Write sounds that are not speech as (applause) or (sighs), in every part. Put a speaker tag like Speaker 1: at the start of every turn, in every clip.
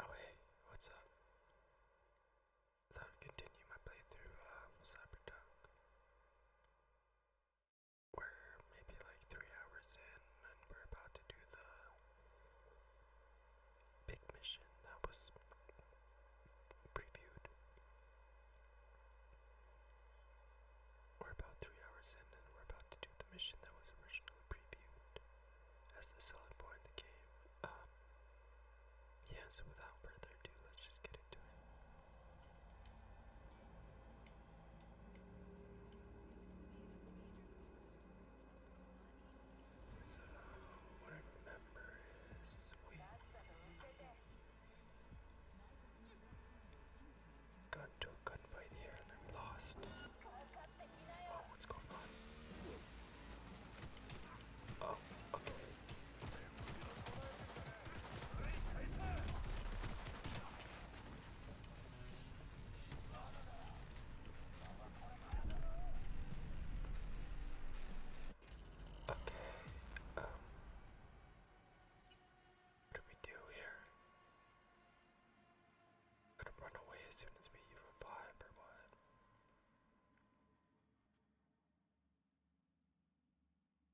Speaker 1: Oh hey, what's up? I thought I'd continue my playthrough of Cyberpunk. We're maybe
Speaker 2: like three hours in and we're about to do the big mission that was previewed. We're about three hours in and we're about to do the mission that was originally previewed as the selling point of the game. Um, yeah, without further ado, let's just get into it. So, what I remember is we got into a gunfight here and then lost. Oh, what's going on?
Speaker 3: Oh, okay. Okay, um,
Speaker 2: what do we do here? Gonna run away as soon as we revive or what?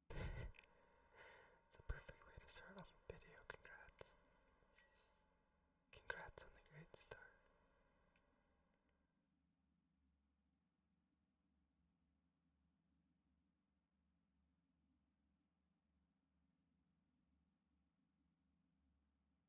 Speaker 2: it's a perfect way to start a video, congrats. Congrats on the great start.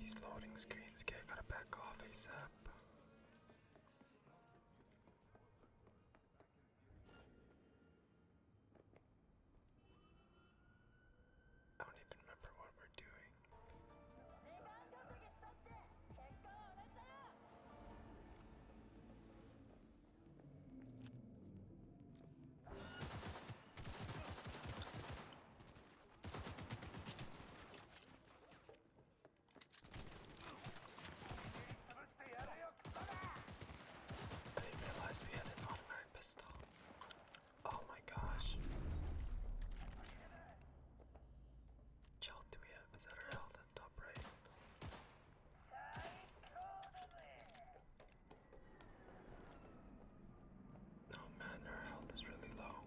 Speaker 2: These loading screens, okay, I gotta back off ASAP. I don't even remember what we're doing. I didn't realize we had an automatic pistol. Oh my gosh. health do we have? Is that our health on top right? Oh man, our health is really low.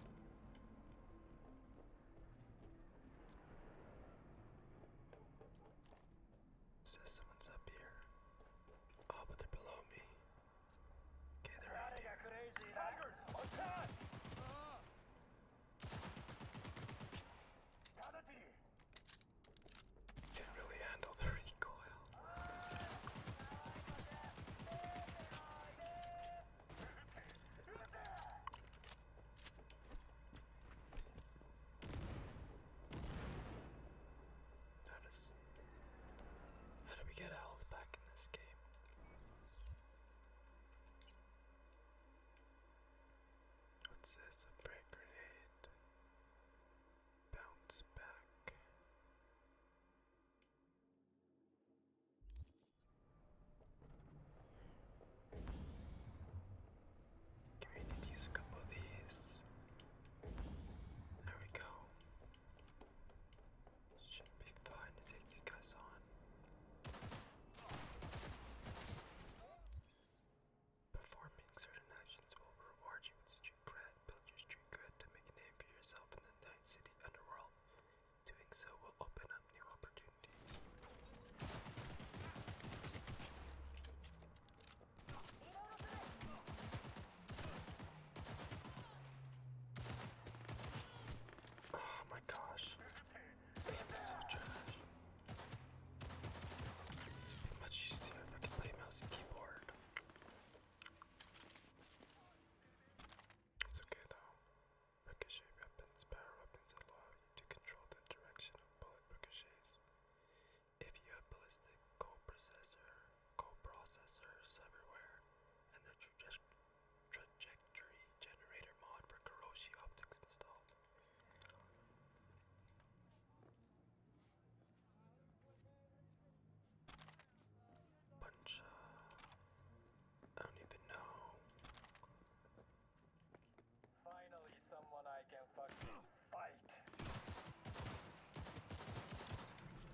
Speaker 2: Says someone's up here. Oh, but they're below me. Okay, they're right here. Crazy. Tigers, attack! Can't really handle the recoil. How does how do we get a health back in this game? What's this? A brick grenade. Bounce back. Okay, we need to use a couple of these. There we go. Should be fine to take these guys on. Performing certain actions will reward you with street cred. Build your street cred to make a name for yourself in the Night City underworld. Doing so will open up new opportunities. Oh my gosh. Damn, it's so trash. It's much easier if I can play mouse and keyboard. It's okay though. Ricochet weapons. Power weapons allow you to control the direction of bullet ricochets. If you have ballistic cold processor, coprocessors everywhere, and the traje trajectory generator mod for Kuroshi optics installed. Bunch I don't even know. Finally, someone I can fucking fight.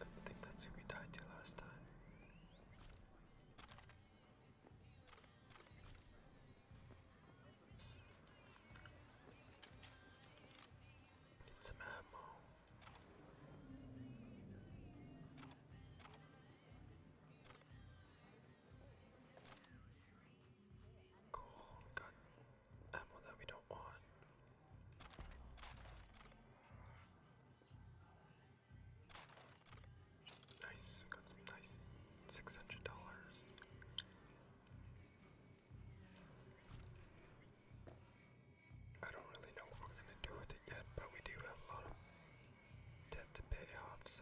Speaker 2: I think that's who we died to last time. Get some ammo. Cool, got ammo that we don't want. Nice, got some nice six hundred dollars. I don't really know what we're gonna do with it yet, but we do have a lot of debt to pay off, so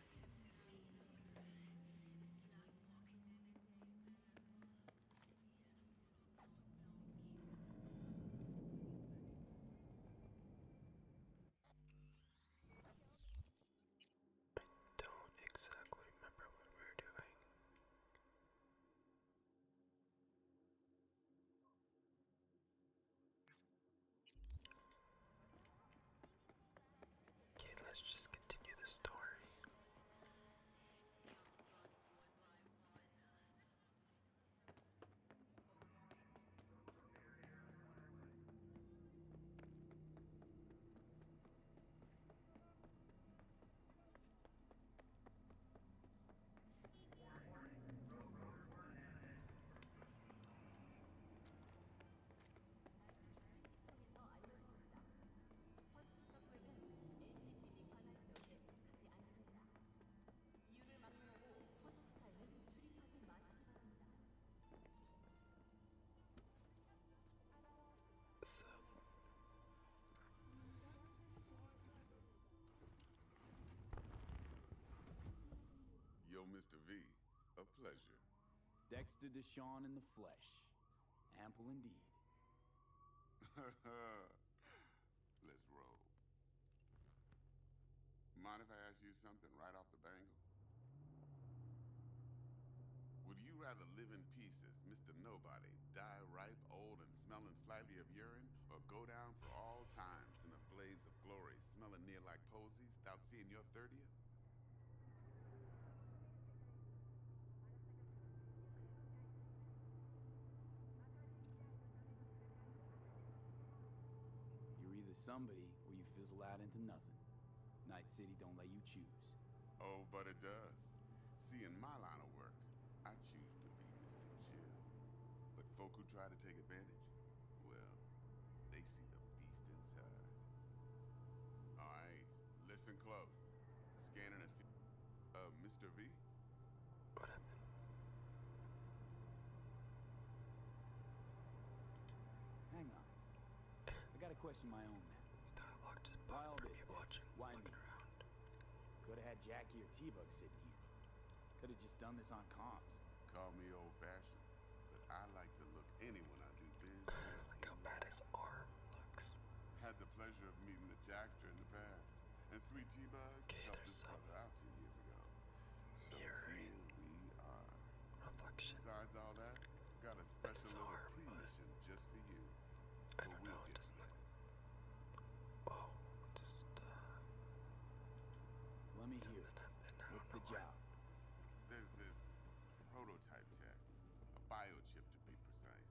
Speaker 2: I don't exactly remember what we were doing. Okay, let's just continue the story. So.
Speaker 3: Yo, Mr. V, a pleasure. Dexter Deshawn in the flesh. Ample indeed. (laughs) Let's roll. Mind if I ask you something right off the bangle? Would you rather live in pieces, Mr. Nobody, die ripe, old, and smelling slightly of urine, or go down for all times in a blaze of glory, smelling near like posies, without seeing your 30th?
Speaker 4: You're either somebody or you
Speaker 3: fizzle out into nothing. Night City don't let you choose. Oh, but it does. See, in my line of work, I choose to be Mr. Chill. But folk who try to take advantage, well, they see the beast inside. All right. Listen close. Scanning a uh, Mr. V? What happened?
Speaker 4: Hang on. I gotta question my own now. Why all this? Why me? Could've had Jackie or T-Bug sitting here.
Speaker 3: Could've just done this on comms. Call me old-fashioned, but I like to look I do Look how bad his arm looks. Had the pleasure of meeting the Jackster in the past. And Sweet T-Bug helped his out two years ago. So here we are. Reflection. Besides all that, got a special little arm, mission just for you. I don't know, it doesn't look... Oh, just, uh... Let me hear. What's the job? There's this prototype prototype tech, a biochip to be precise.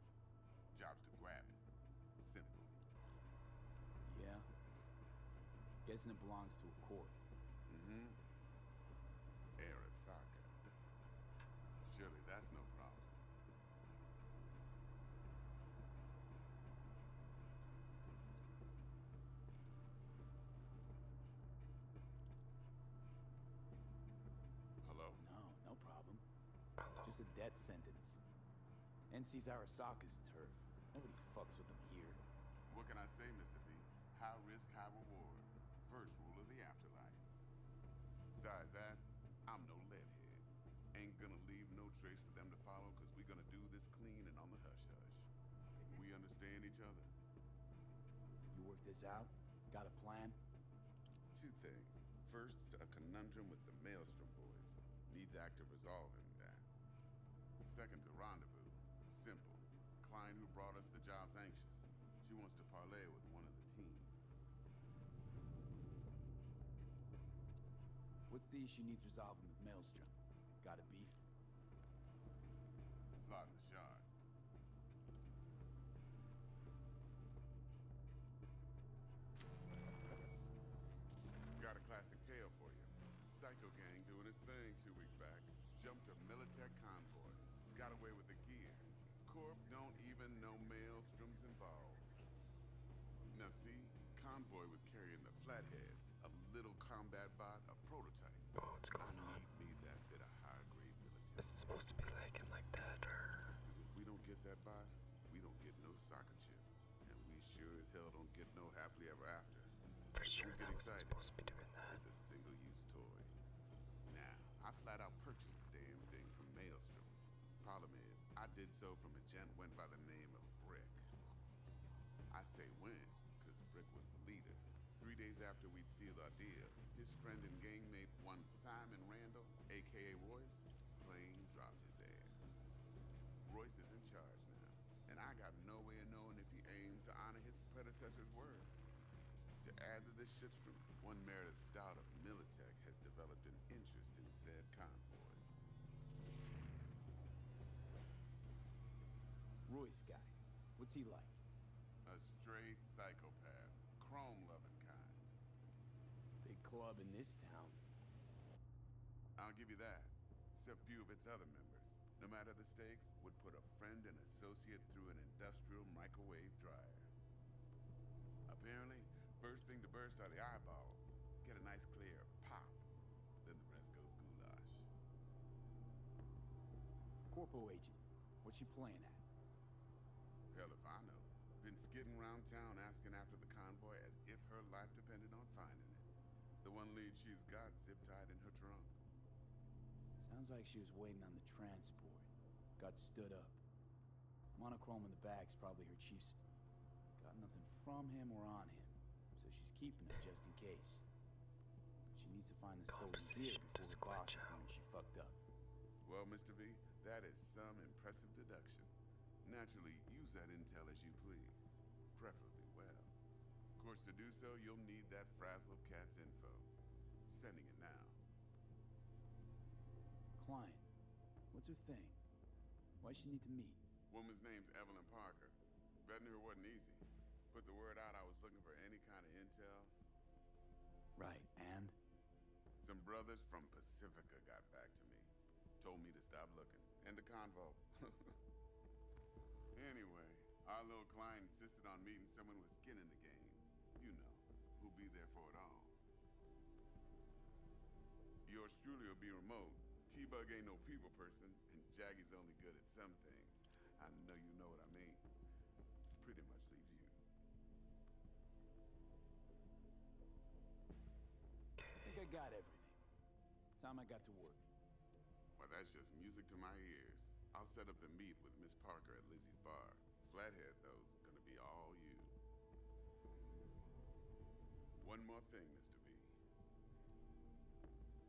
Speaker 3: Job's to grab it. Simple. Yeah. Guessing it belongs to a court. Mm-hmm. Arasaka. Surely that's no problem. Hello?
Speaker 4: No, no problem. Just a death sentence. NC's Arasaka's
Speaker 3: turf. Nobody fucks with them here. What can I say, Mr. B? High risk, high reward. First rule of the afterlife. Besides that, I'm no leadhead. Ain't gonna leave no trace for them to follow, cause we're gonna do this clean and on the hush-hush. We understand each other. You work this out? Got a plan? Two things. First, a conundrum with the Maelstrom boys. Needs active resolving that. Second, the rendezvous. Simple. Client who brought us the job's anxious. She wants to parley with one of the team. What's the issue needs resolving with Maelstrom? Got a beef? It's not in the shard. Got a classic tale for you. Psycho gang doing its thing two weeks back. Jumped a Militech convoy. Got away with the gear. Corp don't even know maelstrom's involved. Now see, convoy was carrying the Flathead, a little combat bot, a prototype. what's going on? that a It's supposed to be like like that, or. Because if we don't get that body, we don't get no soccer chip, and we sure as hell don't get no happily ever after. For but sure, that wasn't supposed to be doing that. It's a single-use toy. Now, I flat out purchased the damn thing from Maelstrom. Problem is, I did so from a gent went by the name of Brick. I say when, because Brick was the leader. Three days after we'd sealed our deal, his friend and gangmate, one Simon Randall, AKA Royce, plain dropped his ass. Royce is in charge now, and I got no way of knowing if he aims to honor his predecessor's word. To add to this shitstorm, one Meredith Stout of Militech has developed an interest in said convoy. Royce guy, what's he like? A straight psycho Chrome-loving kind. Big club in this town. I'll give you that. Except few of its other members. No matter the stakes, would put a friend and associate through an industrial microwave dryer. Apparently, first thing to burst are the eyeballs. Get a nice clear pop. Then the rest goes goulash. Corporal agent, what's she playing at? Hell if I know. Been skidding around town asking after the convoy as if her life depended on finding it. The one lead she's got zip-tied in her trunk.
Speaker 4: Sounds like she was waiting on the transport. Got stood up. Monochrome in the back's probably her chief's... Got nothing from him or on him. So she's keeping it
Speaker 3: just in case. she needs to find the stolen gear before the boss learns she fucked up. Well, Mr. V, that is some impressive deduction. Naturally, use that intel as you please, preferably well. Of course, to do so, you'll need that Frazzle Cat's info. Sending it now.
Speaker 4: Client, What's her thing? Why she need to meet?
Speaker 3: Woman's name's Evelyn Parker. Vetting her wasn't easy. Put the word out I was looking for any kind of intel. Right, and? Some brothers from Pacifica got back to me. Told me to stop looking. End the convo. (laughs) anyway, our little client insisted on meeting someone with skin in the game. You know, who'll be there for it all. Yours truly will be remote. T-Bug ain't no people person, and Jaggy's only good at some things. I know you know what I mean pretty much leaves you. I think I
Speaker 4: got everything. Time I got to work.
Speaker 3: Well, that's just music to my ears. I'll set up the meet with Miss Parker at Lizzie's bar. Flathead, though's gonna be all you. One more thing, Mr. B.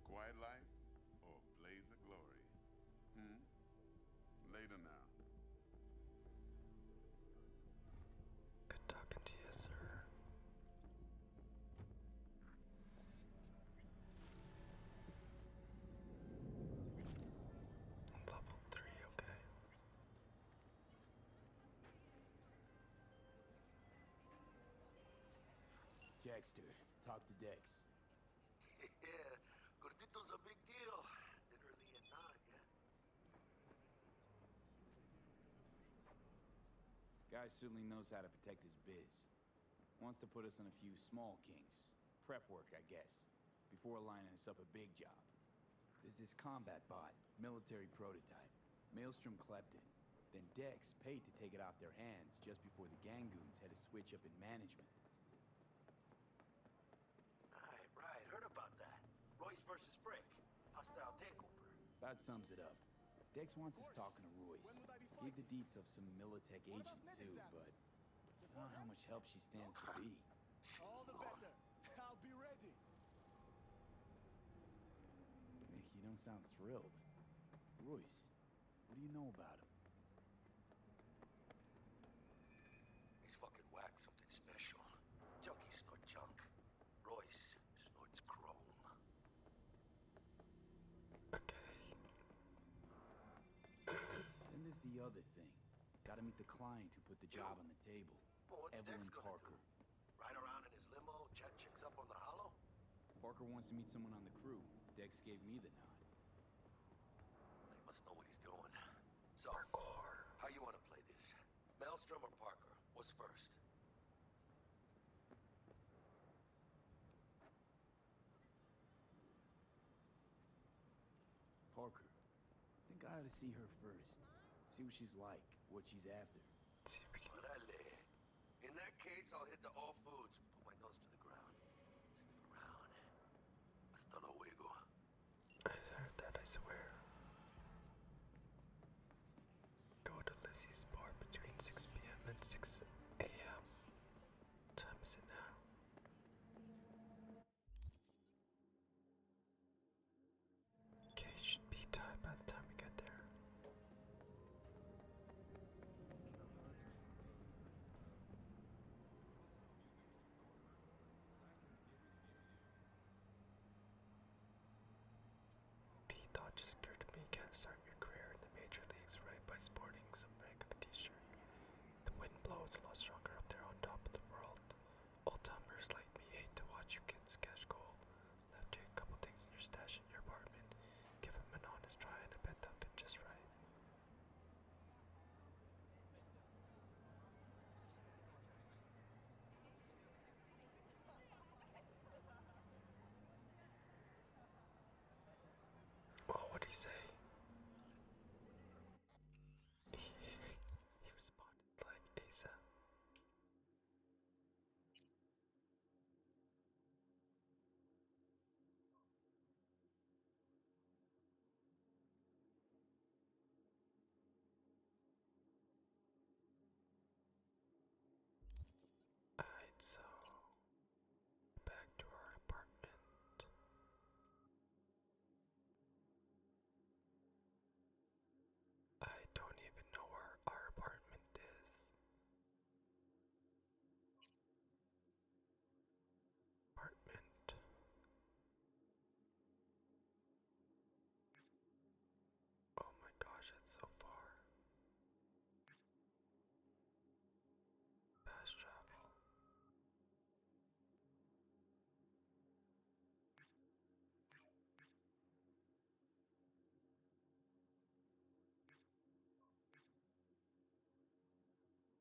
Speaker 3: Quiet life or blaze of glory? Hmm? Later now. Good talking to you, sir.
Speaker 4: Level three, okay. Dexter, talk to Dex.
Speaker 5: (laughs) yeah, Gordito's a big deal, literally and not, yeah?
Speaker 4: Guy certainly knows how to protect his biz. Wants to put us on a few small kinks. Prep work, I guess. Before lining us up a big job. There's this combat bot, military prototype. Maelstrom clept Then Dex paid to take it off their hands just before the Gangoons had to switch up in management.
Speaker 5: Right, right. Heard about that. Royce versus Brick. Hostile takeover.
Speaker 4: About sums it up. Dex wants us talking to Royce. Give the deets of some Militech agent too, but I don't know how much help she stands to be.
Speaker 6: (laughs) All the better. I'll be ready.
Speaker 4: You don't sound thrilled. Royce, what do you know about him?
Speaker 5: He's fucking whacked something special. Junkies snort junk.
Speaker 4: Royce snorts chrome. Okay. then there's the other thing. Gotta meet the client who put the job on the table. Evelyn Parker.
Speaker 5: Right around in his limo, chat chicks up on
Speaker 4: the hollow? Parker wants to meet someone on the crew. Dex gave me the nod. He must know what he's doing. So, how you want to play this?
Speaker 5: Maelstrom or Parker? What's first?
Speaker 4: Parker. I think I ought to see her first. See what she's like, what she's after.
Speaker 5: In that case, I'll hit the all foods. Put my nose to the ground.
Speaker 2: Sniff around. Hasta I heard that, I swear. Go to Lizzie's bar between 6 p.m. and 6 a.m. Time is it now?
Speaker 1: Okay, should be time by the time we get there.
Speaker 2: P just occurred to me you can't start your career in the major leagues right by sporting some random t-shirt. The wind blows a lot stronger up there on top of the world. Old timers like me hate to watch you kids cash gold. Left you a couple things in your stash in your apartment. Give them an honest try and bet they'll just right. Oh, what did he say? He, he responded like ASAP. Alright, so back to our apartment. I don't even know where our apartment is. Apartment Oh my gosh, that's so far. Fast travel.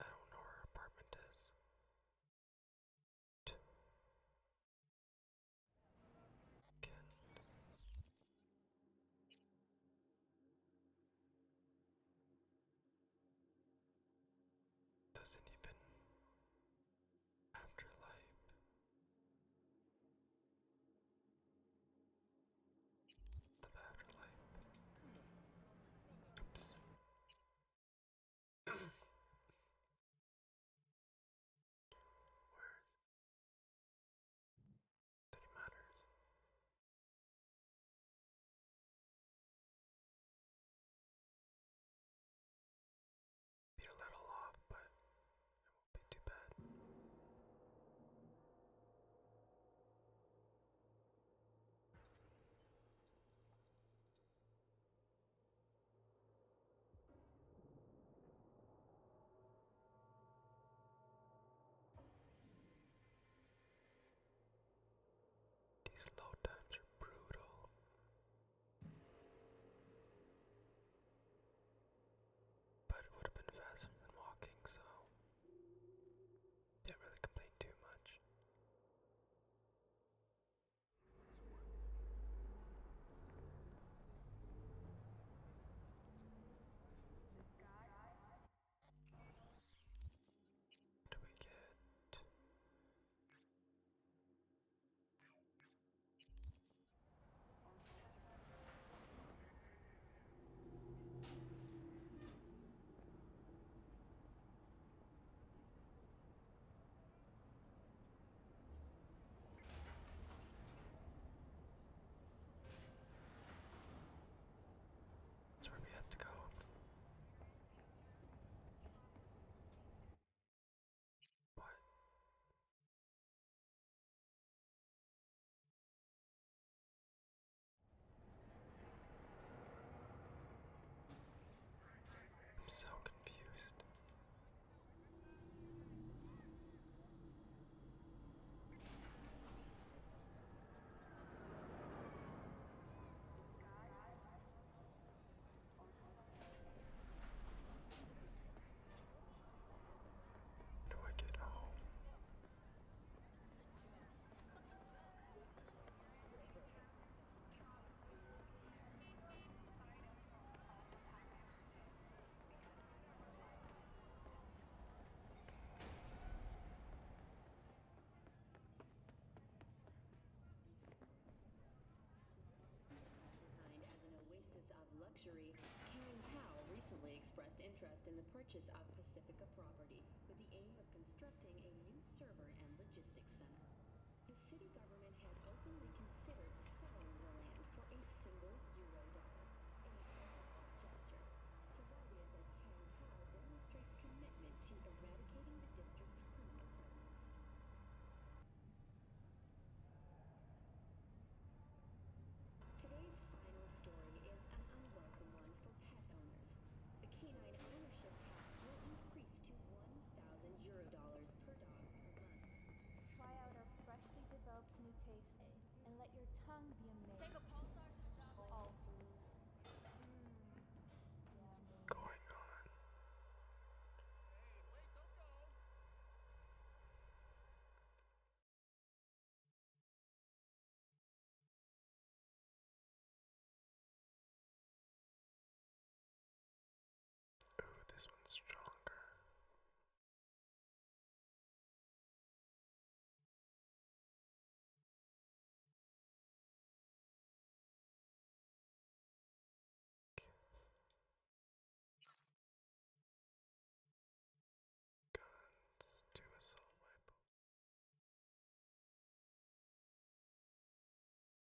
Speaker 2: I don't know where her apartment is. Again. Doesn't even afterlife. The afterlife. Oops. Words that it matters. Be a little off, but it won't be too bad. These low times are brutal. But it would have been faster than walking, so can't really complain too much. What do we get?
Speaker 1: That's where we have to go. What? I'm so
Speaker 2: confused. How do I get home?
Speaker 7: of luxury, Karen Powell recently expressed interest in the purchase of Pacifica property with the aim of constructing a new server and logistics center.
Speaker 8: The city government has openly considered selling the land for a single euro dollar. A gesture. Bavaria's at town
Speaker 7: hall demonstrates commitment to eradicating the district's criminal
Speaker 8: Today's final story is an unwelcome one for pet owners. The canine ownership tax will increase Try
Speaker 7: out our freshly developed new tastes and let your tongue be amazed. Take a pulsar to the job. Going on.
Speaker 1: Ooh, this one's stronger. Okay. Guns to assault rifle.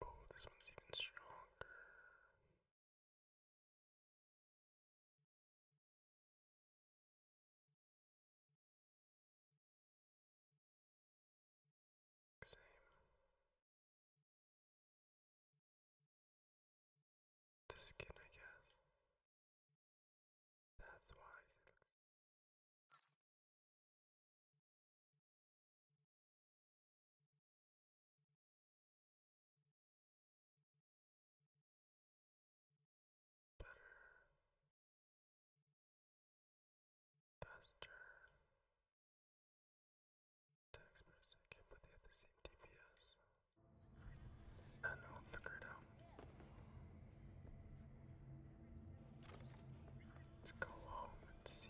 Speaker 1: Oh, this one's even stronger. Same. The skin, I guess. That's why it looks faster takes me a second, but they have the same DPS. I know, figure it out.
Speaker 2: Let's go home and see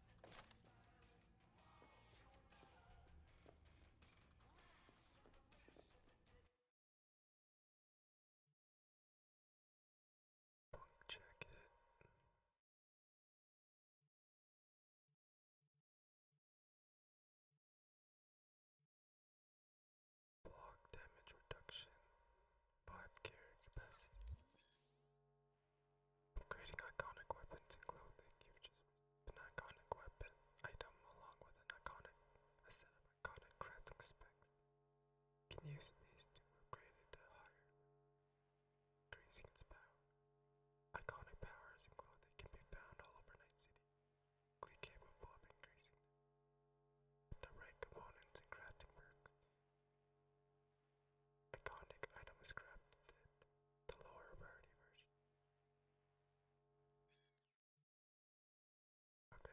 Speaker 2: Check it. Block damage reduction. Five carry capacity. Creating iconic weapons and clothing, you've just an iconic weapon item along with an iconic set of iconic crafting specs. You can use these to upgrade it to higher increasing its power. Iconic powers and clothing can be found all over Night City, capable of increasing the right components and crafting perks. Iconic item was crafted, the lower rarity version. Okay.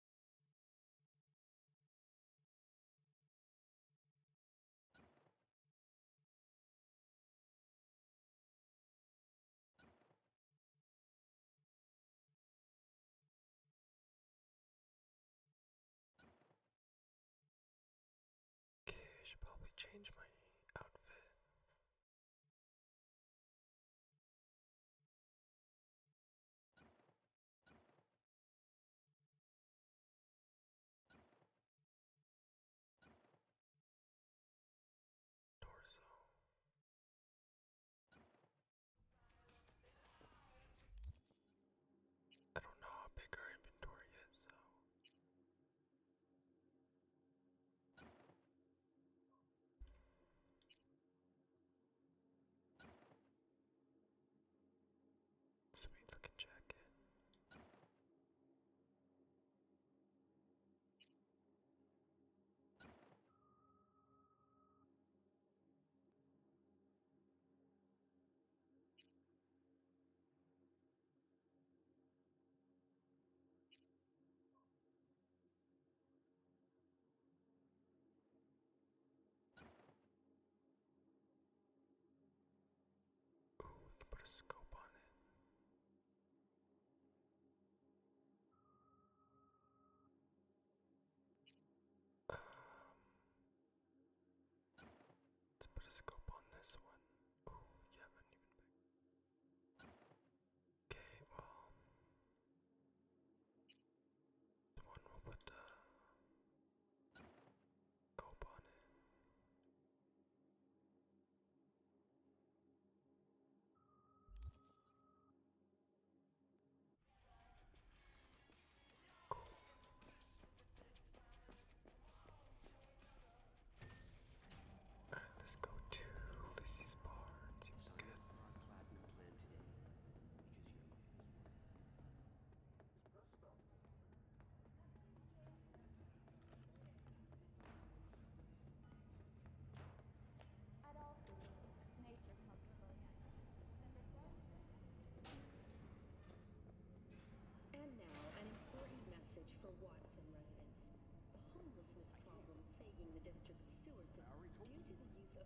Speaker 1: Okay, I should probably change my outfit. Torso. I don't know how big our inventory is, so. Sweet looking jacket.
Speaker 2: Ooh, we can put a scope on it. Um, let's put a scope on this one. Oh, yeah, I didn't even pick. Okay, well, The one we'll put the uh, cope on it. Cool. let's go to Lissy's bar. seems good. And
Speaker 8: now, an important message for Watson residents. The homelessness problem plaguing the district's sewer system due to the use of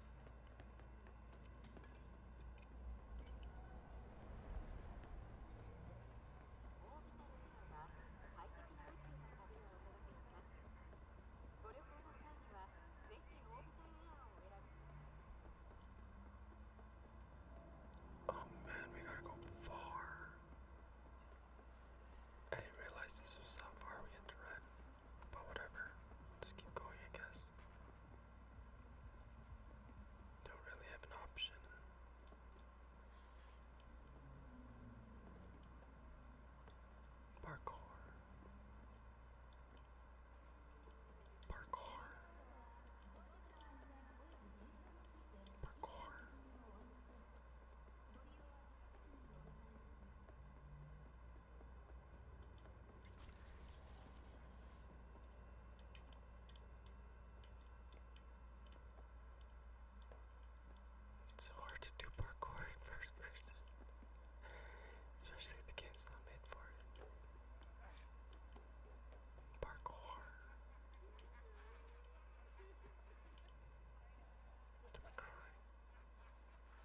Speaker 7: Oh man,
Speaker 2: we gotta go far. I didn't realize this was how far we had to run. But whatever. Just keep going, I guess. Don't really have an option. Parkour. Parkour. Parkour. It's hard to do parkour in first person, especially if the game's not made for it. Parkour. Am I crying?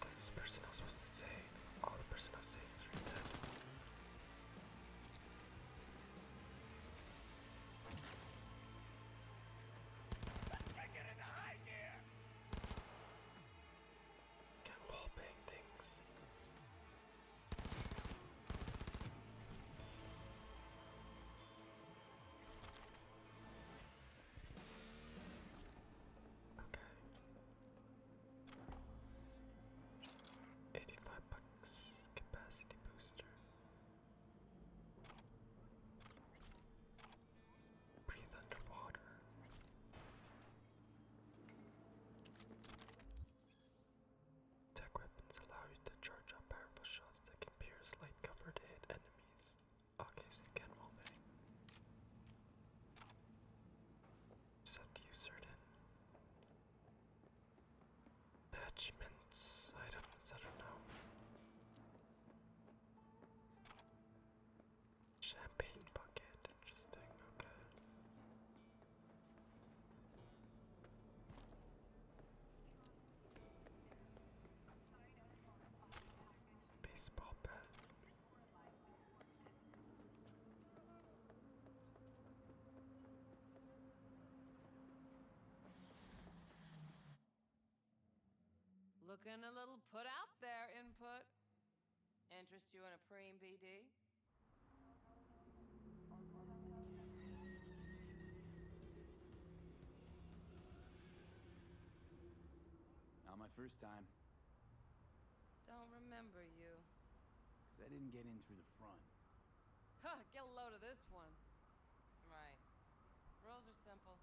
Speaker 2: That's the person I was supposed to say. All the person I saved is right dead. Let's get into high gear! can wallbang things. Okay. 85 bucks capacity booster. Breathe underwater. Tech weapons allow you to charge up powerful shots that can pierce light cover to hit enemies. Okay, so you can roleplay. to use certain attachments, items, I don't know. Champagne bucket, interesting, okay baseball bat.
Speaker 9: Looking a little put out there, Input. Interest you in a preem BD?
Speaker 4: Not my first time.
Speaker 2: Don't remember you.
Speaker 4: Cause I didn't get in through the front.
Speaker 2: Huh, get a load of this one.
Speaker 9: Right. Rules are simple.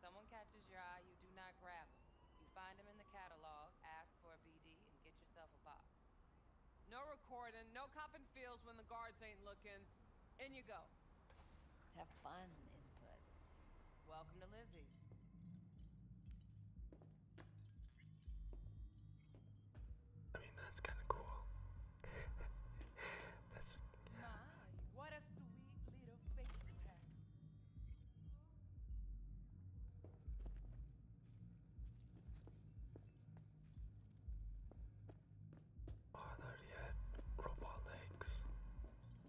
Speaker 9: Someone catches your eye, you do not grab them. You find them in the catalog, ask for a BD, and get yourself a box. No recording, no copping feels when the guards ain't looking. In you go. Have fun, input. Welcome to Lizzie's.
Speaker 1: I mean, that's kind of cool. (laughs)
Speaker 2: that's.
Speaker 6: My, what a sweet little face you have.
Speaker 2: Are there yet robot legs?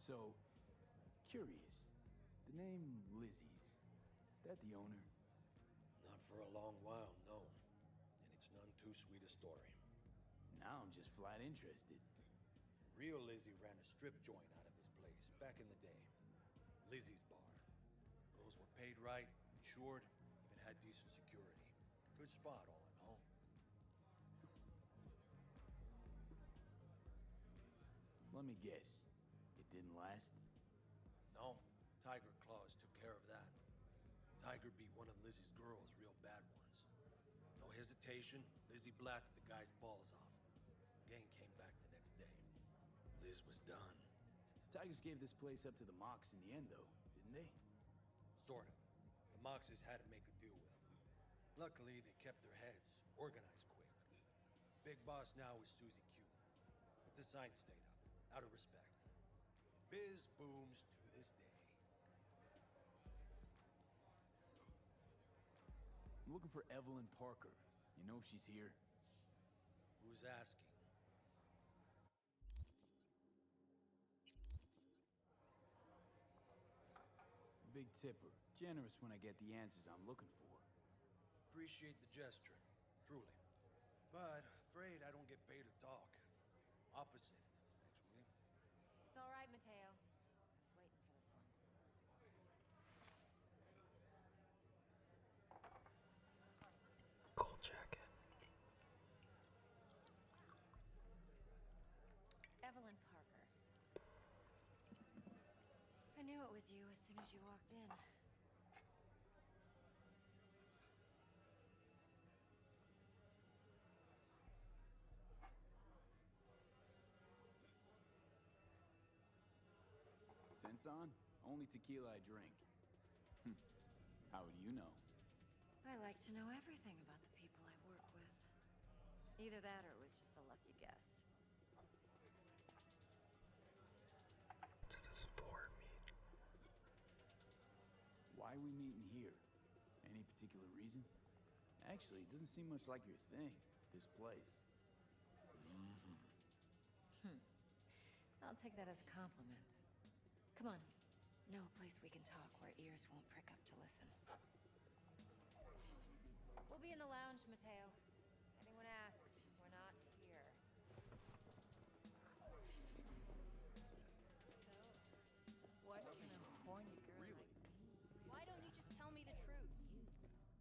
Speaker 6: So, curious. The name Lizzie's, is that the owner? Not for a long while, no. And it's none too sweet a story. Now I'm just flat interested. Real Lizzie ran a strip joint out of this place back in the day. Lizzie's bar. Girls were paid right, insured, even had decent security. Good spot, all in all.
Speaker 4: Let me guess. It didn't last?
Speaker 6: No. Tiger Claws took care of that. Tiger beat one of Lizzie's girls real bad ones. No hesitation, Lizzie blasted the guy's balls off. Gang came back the next day. Lizzie was done.
Speaker 4: Tigers gave this place up to the Mox in the end, though, didn't they? Sort of.
Speaker 6: The Moxes had to make a deal with them. Luckily, they kept their heads, organized quick. Big boss now is Susie Q. But the sign stayed up, out of respect. Biz booms to this day.
Speaker 4: I'm looking for Evelyn Parker. You
Speaker 6: know if she's here? Who's asking?
Speaker 4: Big tipper. Generous when I get the answers I'm looking
Speaker 6: for. Appreciate the gesture, truly. But afraid I don't get paid to talk. Opposite, actually.
Speaker 8: It's all right, Mateo. I was waiting for this one. Cool jacket. Evelyn Parker. I knew it was you as soon as you walked in.
Speaker 4: Sensan? Only tequila drink. Hmm. How do you know?
Speaker 8: I like to know everything about the people I work with. Either that or it was just a lucky guess.
Speaker 4: does this four mean? Why are we meeting here? Any particular reason? Actually, it doesn't seem much like your thing, this place.
Speaker 1: Mm-hmm. Hmm.
Speaker 8: I'll take that as a compliment. Come on. Know a place we can talk where ears won't prick up to listen. We'll be in the lounge, Mateo. Anyone asks, we're not here.
Speaker 4: what can a horny girl
Speaker 8: Why don't you just tell me the truth?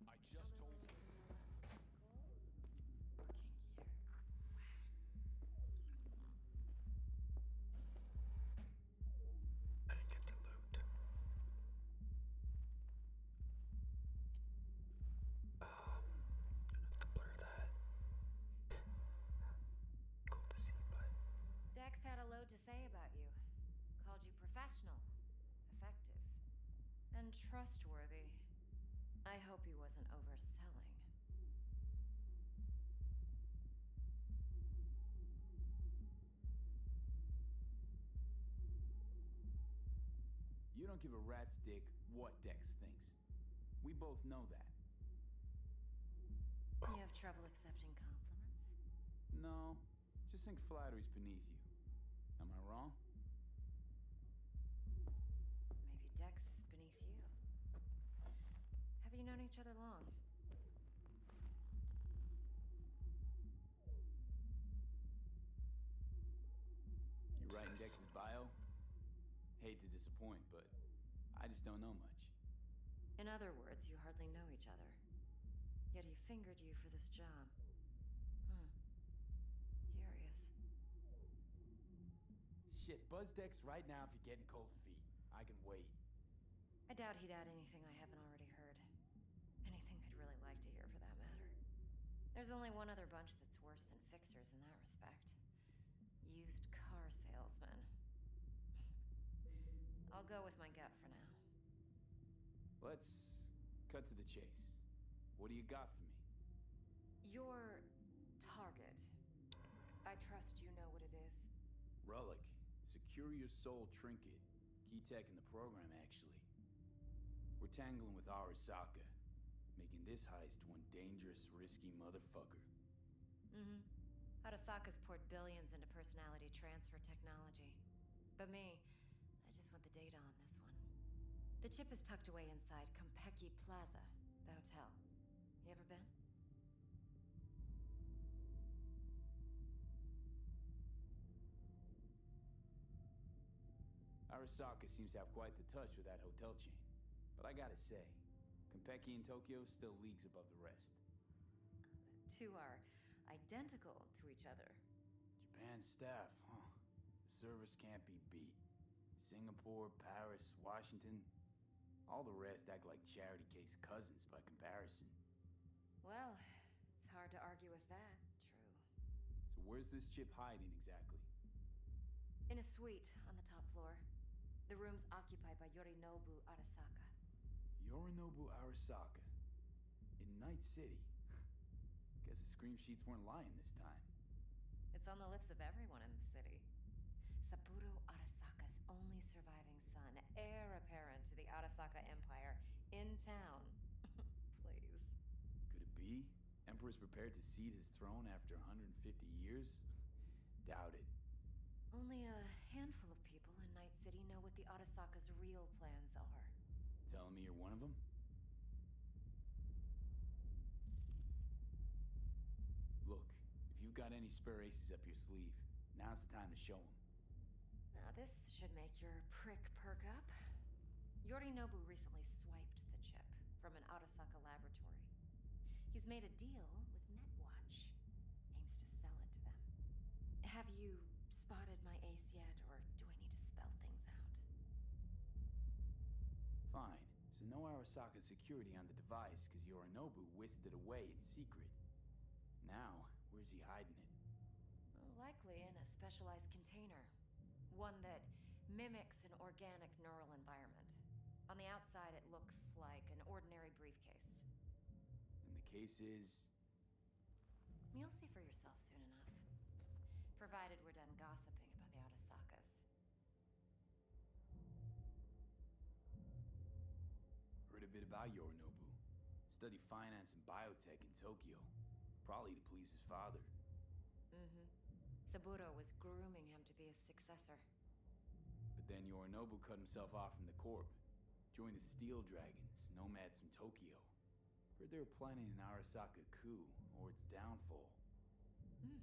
Speaker 4: I just told I didn't get the loot.
Speaker 8: Um, I'm to blur that. cool to see, but. Dex had a load to say about you. Called you professional, effective, and trustworthy. I hope he wasn't overselling.
Speaker 4: You don't give a rat's dick what Dex thinks. We both know that.
Speaker 8: You have trouble accepting compliments? No,
Speaker 4: just think flattery's beneath you. Am I wrong?
Speaker 8: Maybe Dex is beneath you. Have you known each other long?
Speaker 4: You writing Dex's bio? Hate to disappoint, but I just don't know much.
Speaker 8: In other words, you hardly know each other. Yet he fingered you for this job. Hmm. Curious.
Speaker 4: Shit, buzz Dex right now if you're getting cold feet. I can wait.
Speaker 8: I doubt he'd add anything I haven't already heard. Anything I'd really like to hear, for that matter. There's only one other bunch that's worse than fixers in that respect. Used car salesmen. I'll go with my gut for now.
Speaker 4: Let's cut to the chase. What do you got for me?
Speaker 8: Your target. I trust you know what it is.
Speaker 4: Relic. Secure your soul trinket. Key tech in the program, actually. We're tangling with Arisaka, making this heist one dangerous, risky motherfucker.
Speaker 8: Mm-hmm. Arisaka's poured billions into personality transfer technology. But me, I just want the data on this one. The chip is tucked away inside Kompeki Plaza, the hotel. You ever been?
Speaker 4: Arisaka seems to have quite the touch with that hotel chain. But I gotta say, Compeki in Tokyo still leagues above the rest.
Speaker 8: The two are identical to each other.
Speaker 4: Japan staff, huh? service can't be beat. Singapore, Paris, Washington. All the rest act like charity case cousins by comparison.
Speaker 8: Well, it's hard to argue with that. True.
Speaker 4: So where's this chip hiding exactly?
Speaker 8: In a suite on the top floor. The room's occupied by Yorinobu Arasaka.
Speaker 4: Yorinobu Arasaka? In Night City? (laughs) Guess the scream sheets weren't lying this time.
Speaker 8: It's on the lips of everyone in the city. Saburo Arasaka's only surviving rising heir apparent to the Arasaka Empire, in town. (laughs) Please.
Speaker 4: Could it be? Emperor's prepared to cede his throne after 150 years? Doubt it.
Speaker 8: Only a handful of people in Night City know what the Arasaka's real plans are.
Speaker 4: Telling me you're one of them? Look, if you've got any spare aces up your sleeve, now's the time to show them.
Speaker 8: Now this should make your prick perk up. Yorinobu recently swiped the chip from an Arasaka laboratory. He's made a deal with Netwatch. Aims to sell it to them. Have you spotted my ace yet, or do I need to spell things out?
Speaker 4: Fine. So no Arasaka security on the device, because Yorinobu whisked it away in secret. Now, where's he hiding?
Speaker 8: Likely in a specialized container. One that mimics an organic neural environment. On the outside, it looks like an ordinary briefcase.
Speaker 4: And the case is...
Speaker 8: You'll see for yourself soon enough. Provided we're done gossiping about the Otosakas.
Speaker 4: Heard a bit about Yorinobu. Studied finance and biotech in Tokyo. Probably to please his father.
Speaker 1: Mm-hmm.
Speaker 8: Saburo was grooming him to be his successor.
Speaker 4: But then Yorinobu cut himself off from the Corp. Joined the Steel Dragons, nomads from Tokyo. Heard they were planning an Arasaka coup, or its downfall.
Speaker 1: Hmm.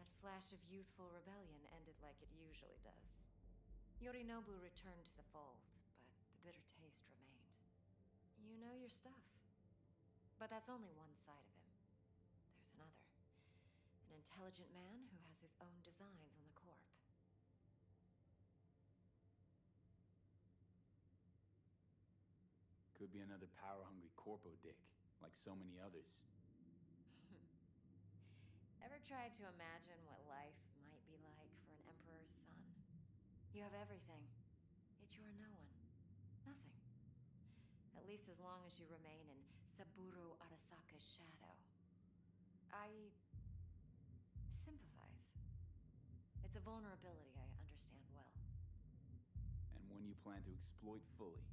Speaker 8: That flash of youthful rebellion ended like it usually does. Yorinobu returned to the fold, but the bitter taste remained. You know your stuff. But that's only one side of him. There's another. An intelligent man who has his own designs on the Corp.
Speaker 4: Could be another power-hungry Corpo dick, like so many others. (laughs)
Speaker 8: Ever tried to imagine what life might be like for an emperor's son? You have everything, yet you are no one. Nothing. At least as long as you remain in Saburo Arasaka's shadow. I sympathize. It's a vulnerability I understand well.
Speaker 4: And one you plan to exploit fully.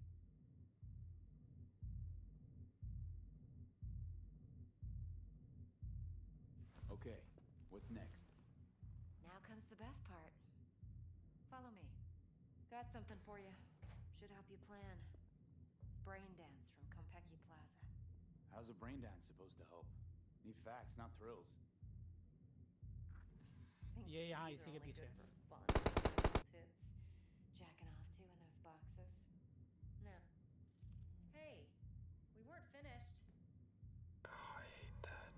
Speaker 4: Okay, what's
Speaker 8: next? Now comes the best part. Follow me. Got something for you. Should help you plan. Brain dance from Compeki Plaza.
Speaker 4: How's a brain dance supposed to help? Need facts, not thrills.
Speaker 8: Yeah, yeah, you think it'd be good for
Speaker 1: fun. Tits.
Speaker 8: Jacking off to in those boxes. No, Hey, we weren't finished. I hate that.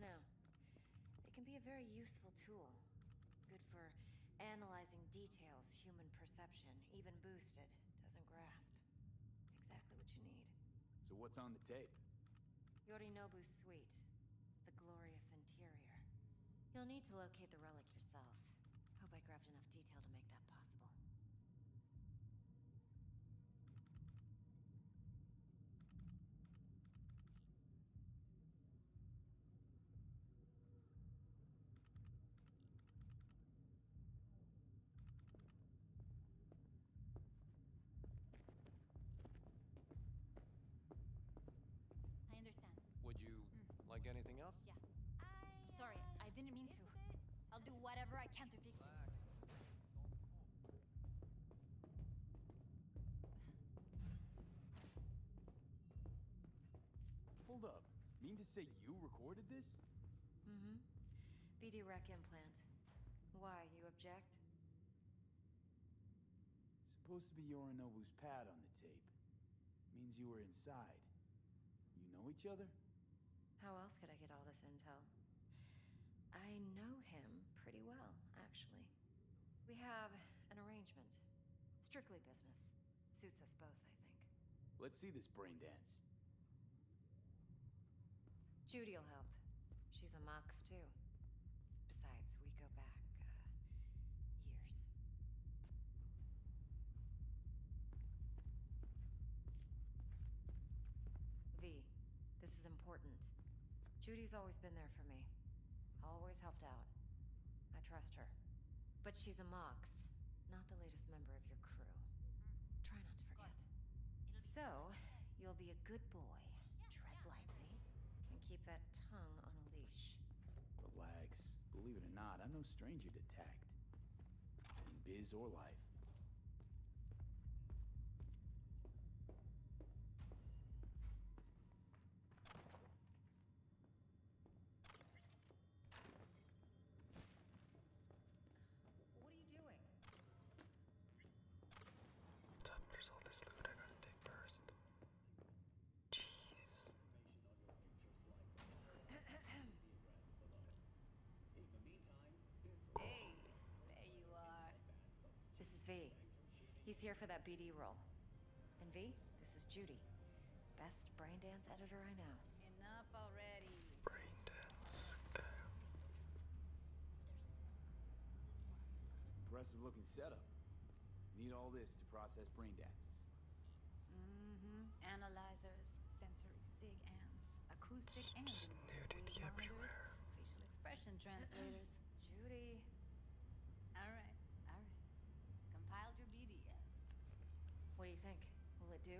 Speaker 8: No. It can be a very useful tool. Good for analyzing details human perception, even boosted, doesn't grasp. Exactly what you need.
Speaker 4: So what's on the tape?
Speaker 8: Yori Nobu's suite. The glorious interior. You'll need to locate the relevant relic Hope I grabbed enough detail to make that possible. I understand.
Speaker 9: Would you mm. like anything else?
Speaker 8: Yeah. I, Sorry, I didn't mean to. I'll do whatever I can to fix it.
Speaker 4: Hold up. Mean to say you recorded this?
Speaker 8: Mm-hmm. BD wreck implant. Why, you object?
Speaker 4: Supposed to be Yorinobu's pad on the tape. Means you were inside. You know each other?
Speaker 8: How else could I get all this intel? I know him pretty well, actually. We have an arrangement. Strictly business. Suits us both, I think.
Speaker 4: Let's see this brain dance.
Speaker 8: Judy'll help. She's a Mox, too. Besides, we go back, uh, years. V, this is important. Judy's always been there for me. Always helped out. I trust her. But she's a Mox, not the latest member of your crew. Try not to forget. So, you'll be a good boy. Tread lightly, and keep that tongue on a leash.
Speaker 4: Relax. Believe it or not, I'm no stranger to tact. In biz or life.
Speaker 8: What are you doing?
Speaker 2: there's all this loot I gotta take first.
Speaker 8: Hey, there you are. This is V. He's here for that BD role. And V, this is Judy. Best brain dance editor I know.
Speaker 7: Enough already. Brain dance.
Speaker 4: Impressive looking setup. Need all this to process brain dances.
Speaker 7: Mm-hmm. Analyzers, sensory sig amps, acoustic and monitors, facial
Speaker 8: expression translators.
Speaker 7: Judy. All right, all right. Compiled your BDF.
Speaker 8: What do you think? Will it do?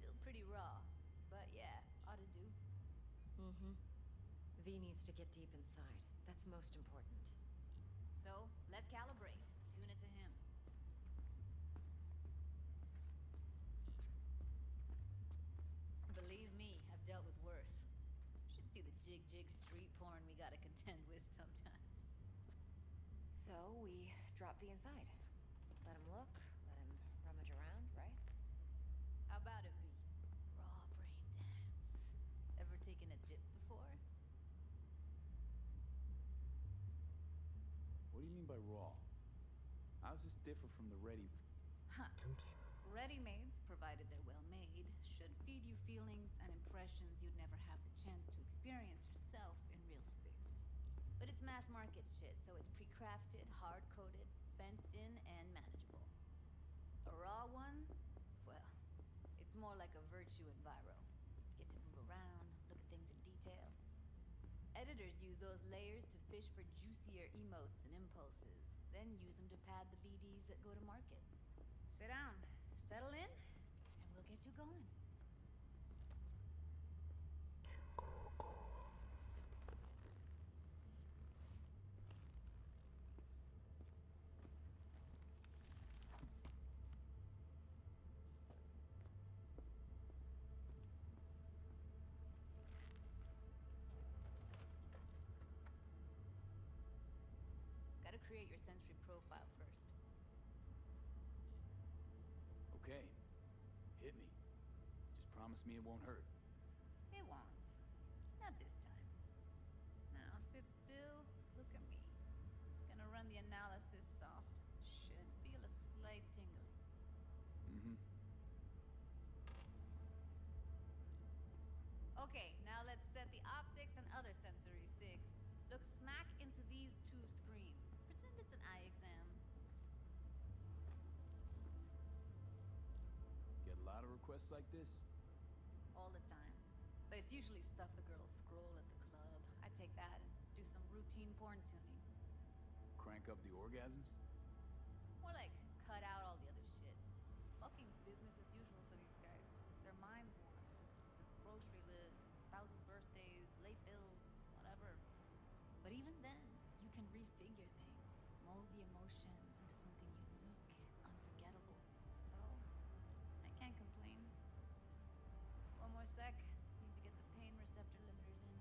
Speaker 8: Still pretty raw, but yeah, ought to do. Mm-hmm. V needs to get deep inside. That's most important. So,
Speaker 7: let's calibrate. Tune it to Believe me, have dealt with worse. should see
Speaker 8: the jig-jig street porn we gotta contend with sometimes. So, we drop V inside. Let him look, let him rummage around, right? How about it, V? Raw brain dance. Ever taken a dip before?
Speaker 4: What do you mean by raw? How does this differ from the ready?
Speaker 7: Huh. ready made provided they're well made, should feed you feelings and impressions you'd never have the chance to experience yourself in real space. But it's mass market shit, so it's pre-crafted, hard-coded, fenced in, and manageable. A raw one? Well, it's more like a virtue enviro. Get to move around, look at things in detail. Editors use those layers to fish for juicier emotes and impulses, then use them to pad the BDs that go to market. Sit down, settle in, and we'll get you going. Gotta create your sensory
Speaker 4: profile first. Okay. Hit me. Just promise me it won't hurt.
Speaker 7: It won't. Not this time. Now sit still Look at me. Gonna run the analysis soft. Should feel a slight tingling. Mm-hmm. Okay, now let's set the optics and other sensory sigs. Look smack into these two screens. Pretend it's an eye exam.
Speaker 4: Get a lot of requests like this?
Speaker 7: All the time. But it's usually stuff the girls scroll at the I take that and do some routine porn tuning.
Speaker 4: Crank up the orgasms?
Speaker 7: More like cut out all the other shit. Fucking business as usual for these guys. Their minds wander grocery lists, spouses' birthdays, late bills, whatever. But even then, you can refigure things, mold the emotions into something unique, unforgettable. So, I can't complain. One more sec. Need to get the pain receptor limiters in.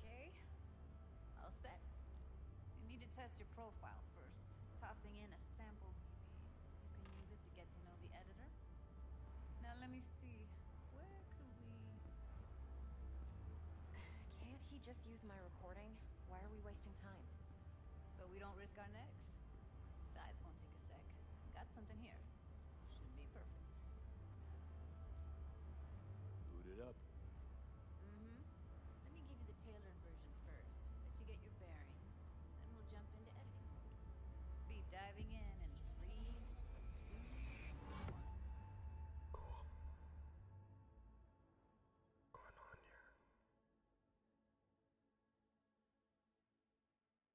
Speaker 7: Okay. I'll set. You need to test your profile first, tossing in a sample BD. You can use it to
Speaker 8: get to know the editor.
Speaker 7: Now let me see. Where could we...
Speaker 8: (sighs) Can't he just use my recording? Why are we wasting time?
Speaker 7: So we don't risk our necks? Besides, won't Take a Got something here. Should be perfect. Boot it up. Mm-hmm. Let me give you the tailored version first, let you get your bearings. Then we'll jump into editing Be diving in in three, two, one. Cool. Going on here.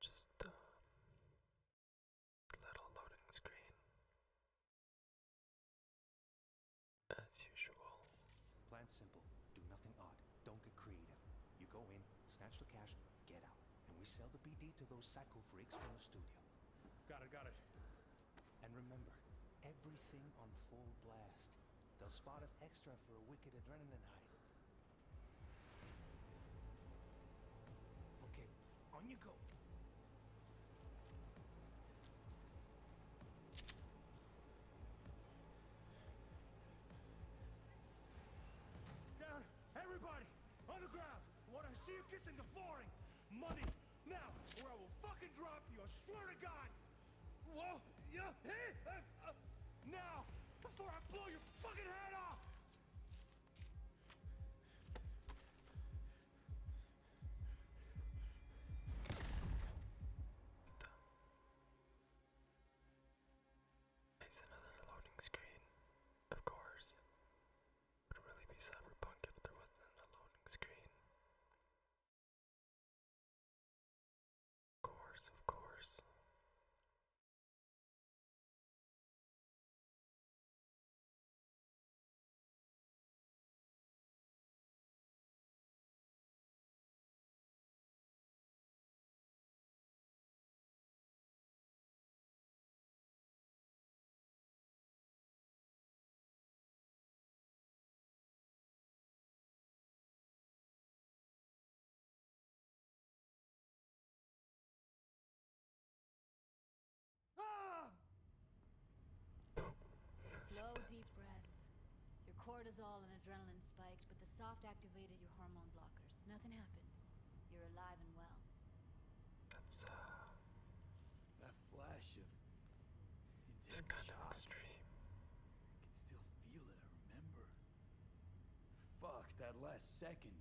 Speaker 1: Just a uh, little loading screen. As usual.
Speaker 10: Plan simple. Do nothing odd. Don't get creative. You go in, snatch the cash, get out. And we sell the BD to those psycho freaks from the studio. Got it, got it. And remember, everything on full blast. They'll spot us extra for a wicked adrenaline high. Okay, on you go. Down, everybody! On the ground! When see you kissing the flooring! Money! Now, or I will fucking drop you, I swear to God! Whoa! Uh, uh, now! Before I blow your fucking head off!
Speaker 2: It's another loading screen,
Speaker 1: of course. Would really be cyberpunk if there wasn't a loading screen. Of course, of course.
Speaker 7: Slow, deep breaths. Your cortisol and adrenaline spiked, but the soft activated your hormone blockers. Nothing happened. You're alive and well.
Speaker 2: That's, uh...
Speaker 4: That flash of it's kind of odd I can still feel it, I remember. Fuck, that last second.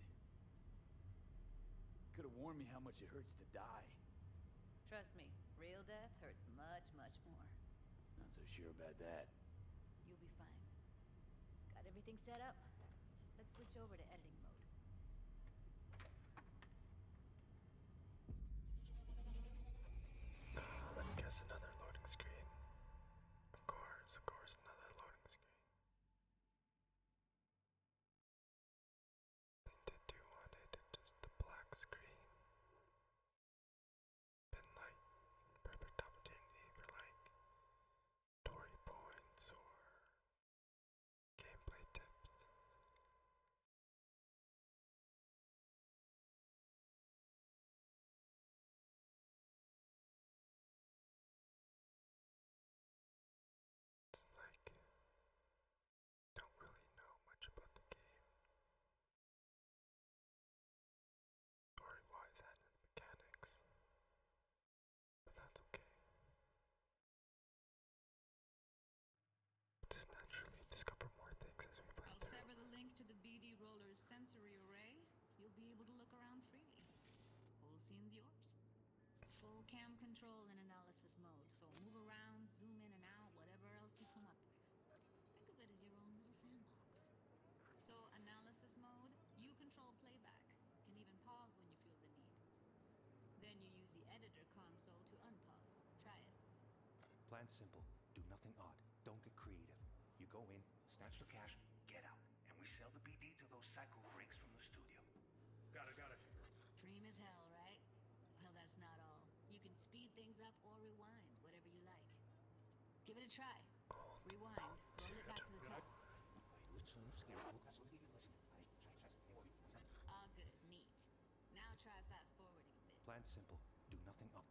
Speaker 4: Could have warned me how much it hurts to die.
Speaker 7: Trust me, real death hurts much, much more.
Speaker 4: Not so sure about that.
Speaker 7: You'll be fine. Got everything set up. Let's switch over to editing mode.
Speaker 2: Uh, let me guess another loading screen. Of course, of course, another loading
Speaker 1: screen. They did do one, they did just the black screen. Been like perfect opportunity for like story points or gameplay tips. It's like don't really know much about the game. Story wise and its mechanics. But that's okay. Just naturally discover I'll
Speaker 7: sever the link to the BD roller's sensory array. You'll be able to look around freely. Whole scene's yours. Full cam control in analysis mode, so move around, zoom in and out, whatever else you come up with. Think of it as your own little sandbox. So analysis mode, you control playback, can even pause when you feel the need. Then you use the editor console to
Speaker 10: unpause. Try it. Plan simple. Do nothing odd. Don't get creative. You go in, snatch the cash, get out. And we sell the BD to those psycho freaks from the studio. Got it, got it.
Speaker 7: Dream as hell, right? Well, that's not all. You can speed things up or rewind, whatever you like. Give it a try.
Speaker 10: Rewind. Roll back to the top.
Speaker 7: All ah, good. Neat. Now try fast forwarding a bit.
Speaker 10: Plan simple. Do nothing up.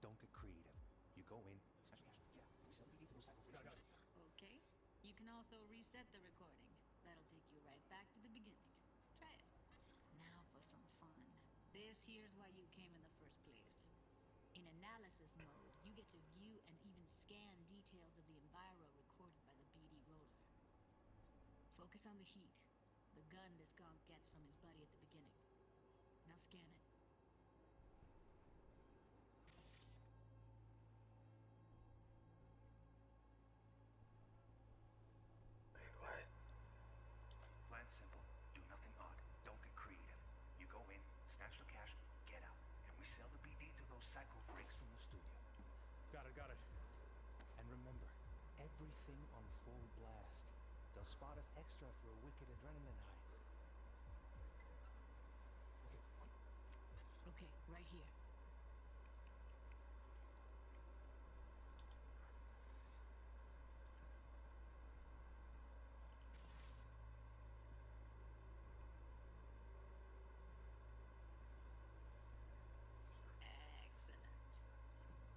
Speaker 10: Don't get creative. You go in.
Speaker 7: Okay. You can also reset the recording. That'll take you right back to the beginning. Try it. Now for some fun. This here's why you came in the first place. In analysis mode, you get to view and even scan details of the enviro recorded by the BD roller. Focus on the heat, the gun this gonk gets from his buddy at the beginning. Now scan it.
Speaker 10: Wait, what? Plan simple. Do nothing odd. Don't get creative. You go in, snatch the cash, get out. And we sell the BD to those psycho freaks from the studio. Got it, got it. And remember, everything on blue spot us extra for a wicked adrenaline high.
Speaker 7: Okay, right here.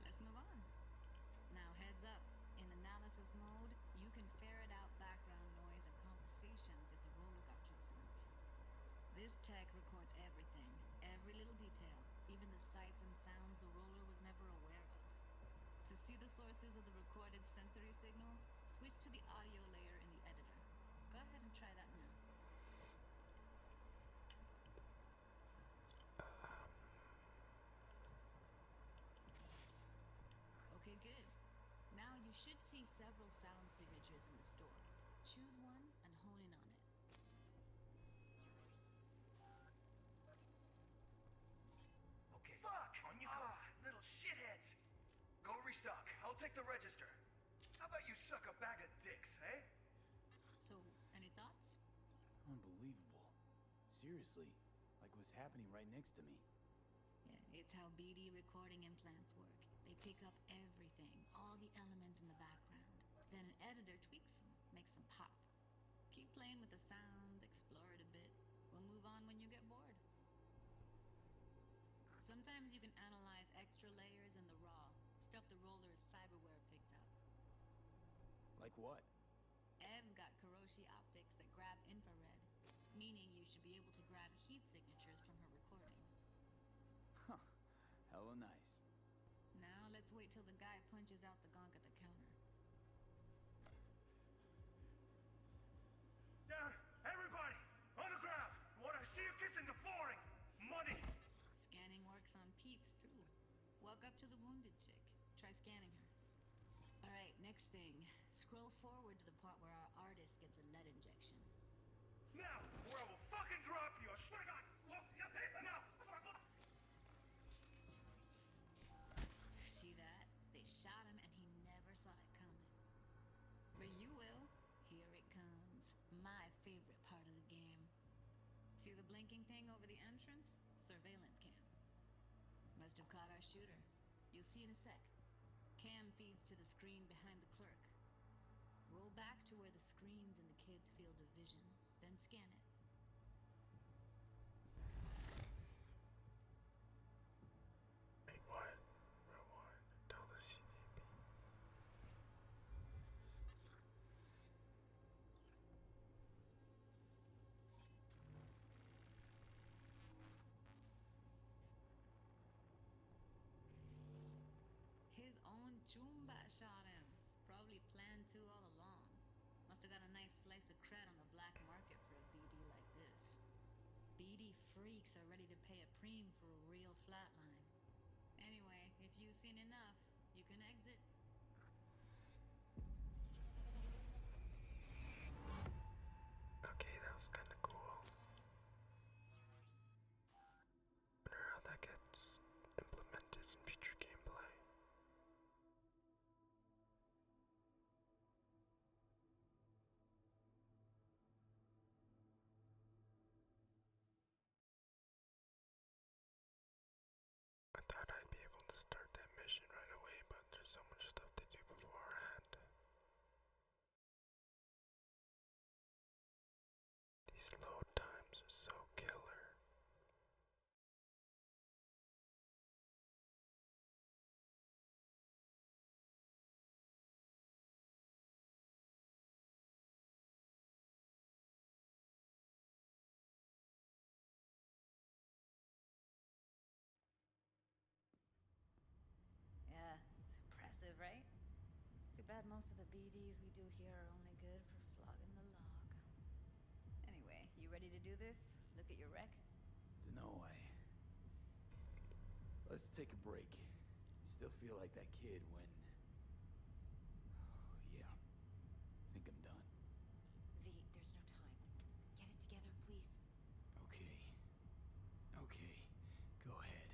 Speaker 7: Excellent. Let's move on. Now heads up. In analysis mode, you can ferret out background noise of conversations if the roller got close enough. This tech records everything, every little detail, even the sights and sounds the roller was never aware of. To see the sources of the recorded sensory signals, switch to the audio layer in the editor. Go ahead and try that now okay, good. Now you should see several sound signatures in the store. Choose one and hone in on it.
Speaker 11: Okay. Fuck! Ah, little shitheads! Go restock. I'll take the register. How about you suck a bag of dicks, hey?
Speaker 7: So, any thoughts?
Speaker 4: Unbelievable. Seriously, like what's happening right next to me.
Speaker 7: Yeah, it's how BD recording implants work. They pick up everything, all the elements in the background. Then an editor tweaks them, makes them pop. Keep playing with the sound, explore it a bit. We'll move on when you get bored. Sometimes you can analyze extra layers in the raw, stuff the roller's cyberware picked up. Like what? Ev's got Kuroshi optics that grab infrared, meaning you should be able to grab heat signatures from her recording.
Speaker 4: Huh. Hella nice.
Speaker 7: Now let's wait till the guy punches out the gunk at the counter.
Speaker 10: Down! Everybody! On the ground! Want to see you kissing the flooring! Money!
Speaker 7: Scanning works on peeps, too. Walk up to the wounded chick. Try scanning her. All right, next thing. Scroll forward to the part where our artist gets a lead injection.
Speaker 10: Now, or I will fucking drop you! I swear to now!
Speaker 7: See that? They shot him and he never saw it coming. But you will. Here it comes. My favorite part of the game. See the blinking thing over the entrance? surveillance cam. Must have caught our shooter. You'll see in a sec. Cam feeds to the screen behind the clerk. Roll back to where the screen's in the kid's field of vision, then scan it. Rewind, rewind, dans le cinéma. His own Chumba shot him. Probably planned to all along. Must have got a nice slice of cred on the black market for a BD like this. BD freaks are ready to pay a preem for a real flatline. Anyway, if you've seen enough, you can exit.
Speaker 2: Okay, that was kind of cool. wonder how that gets implemented in future gameplay.
Speaker 1: I thought I'd be able to start that mission right away, but there's so much stuff to do beforehand. These load times are so killer.
Speaker 7: Yeah, it's impressive, right? too bad most of the BDs we do here are only good for flogging the log. Anyway, you ready to do this? Look at your wreck?
Speaker 4: do not Let's take a break. Still feel like that kid when... (sighs)
Speaker 8: yeah. Think I'm done. V, there's no time. Get it together, please.
Speaker 4: Okay. Okay. Go ahead.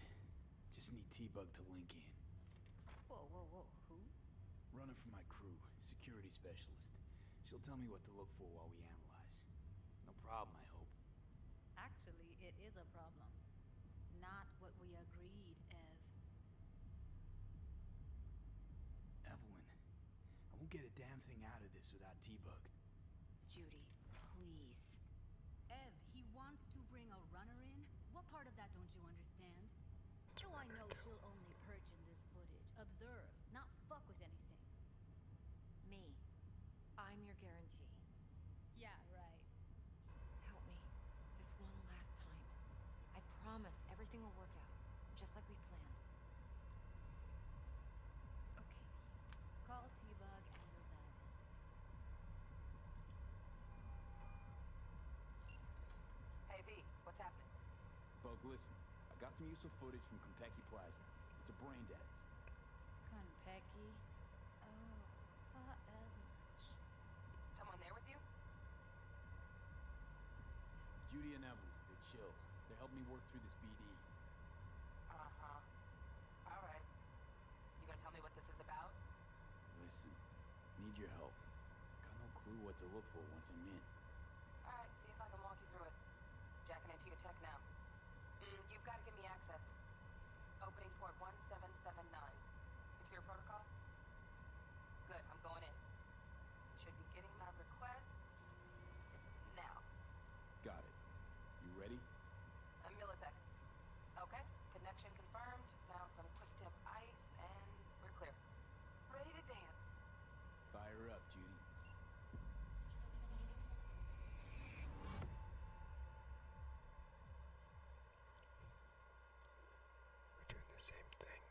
Speaker 4: Just need T-Bug to link in. Whoa, whoa, whoa. Who? Runner for my crew. Security specialist. She'll tell me what to look for while we analyze. No problem, I hope.
Speaker 7: Actually, it is a problem. Not what we agreed, Ev.
Speaker 4: Evelyn. I won't get a damn thing out of this without T-Bug.
Speaker 8: Judy, please.
Speaker 7: Ev, he wants to bring a runner in? What part of that don't you understand? Do I know she'll only perch in this footage,
Speaker 8: observe, not fuck with anything? Me. I'm your guarantee. Yeah, right. Help me. This one last time. I promise everything will work out, just like we planned. Okay. Call T-Bug and you
Speaker 6: Hey, V, what's happening?
Speaker 4: Bug, listen. I got some useful footage from Compeki Plaza. It's a brain dance.
Speaker 7: Compeki? Oh, thought as much.
Speaker 10: Someone there with you?
Speaker 4: Judy and Evelyn, they chill. They helped me work through this BD.
Speaker 3: Uh-huh. All right. You gonna tell me what this is about?
Speaker 4: Listen, need your help. Got no clue what to look for once I'm in.
Speaker 6: All right, see if I can walk you through it. Jacking into your tech now. Mm, you've got to give me access. Opening port 1779. Secure protocol? Good, I'm going in. Should be getting my
Speaker 2: requests. Now.
Speaker 4: Got it. You ready?
Speaker 9: A millisecond. Okay, connection confirmed. Now some quick tip ice, and we're clear. Ready to dance.
Speaker 4: Fire up, Judy.
Speaker 2: We're doing the same thing.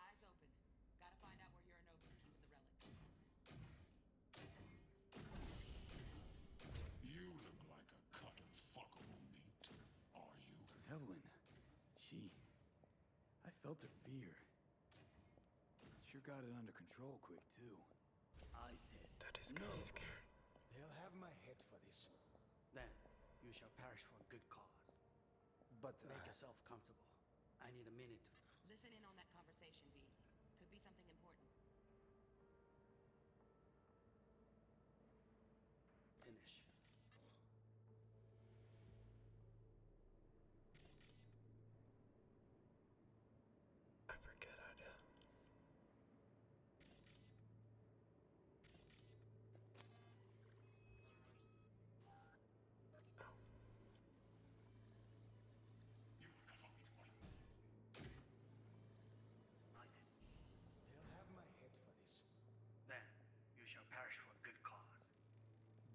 Speaker 6: Eyes open. Gotta find out where Uranovi's keeping the relic.
Speaker 4: You look like a cut of fuckable meat, are you? Evelyn, she... I felt her fear. Sure got it under control quick, too. I said That is no. scary.
Speaker 11: They'll have my head for this. Then, you shall perish for good cause. But... Ah. Make yourself comfortable. I need a minute to...
Speaker 6: Listen in on that conversation, V. Could be something important.
Speaker 11: Finish. I forget I do. Then, you shall perish for a good cause.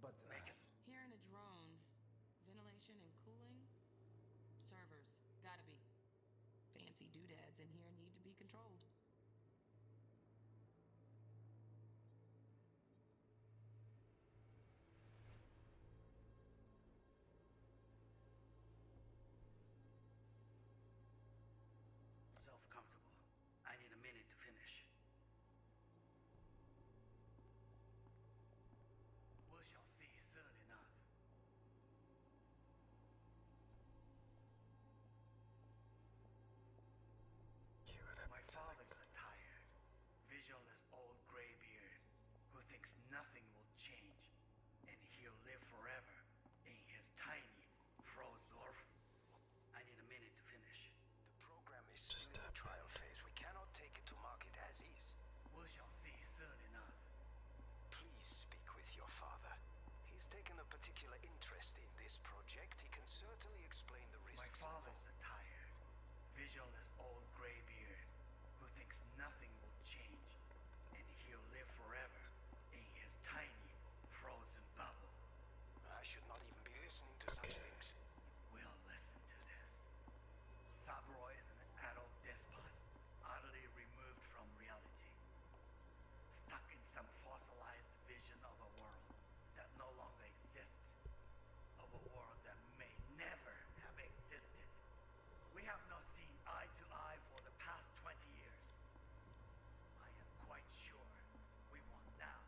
Speaker 11: But, uh...
Speaker 3: Here in a drone. Ventilation and cooling? Servers. Gotta be. Fancy
Speaker 9: doodads in here need to be controlled.
Speaker 11: Self-comfortable. I need a minute to finish. We shall see soon enough. My father's attire, visual old graybeard who thinks nothing will change and he'll live forever in his tiny frozen. I need a minute to finish. The program is just in uh, trial phase. We cannot take it to market as is. We shall see soon enough. Please speak with your father. He's taken a particular interest in this project. He can certainly explain the risks. My father's attired Vigil is old Greybeard, who thinks nothing will change, and he'll live forever in his tiny, frozen bubble. I should not even be listening to such things. We'll listen to this. Saburo is an adult despot, utterly removed from reality. Stuck in some fossilized vision of a world that no longer exists of a world that may never have existed. We have not seen eye
Speaker 2: to eye for the past 20 years. I am quite sure we want now.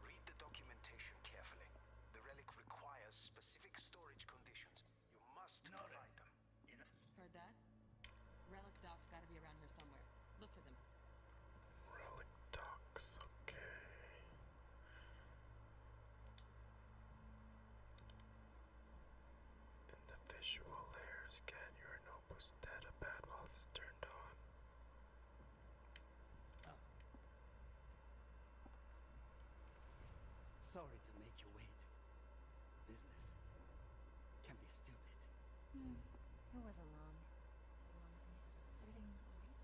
Speaker 2: Read the
Speaker 11: documentation carefully. The relic requires specific storage conditions. You must
Speaker 2: provide them.
Speaker 3: Heard that? Relic docs gotta be around here somewhere. Look for them.
Speaker 2: Relic docs, okay. In the visual layer scan, your notebook's data pad while it's turned on. Oh.
Speaker 11: Sorry to make you wait. Business can be stupid.
Speaker 8: Mm. It wasn't long.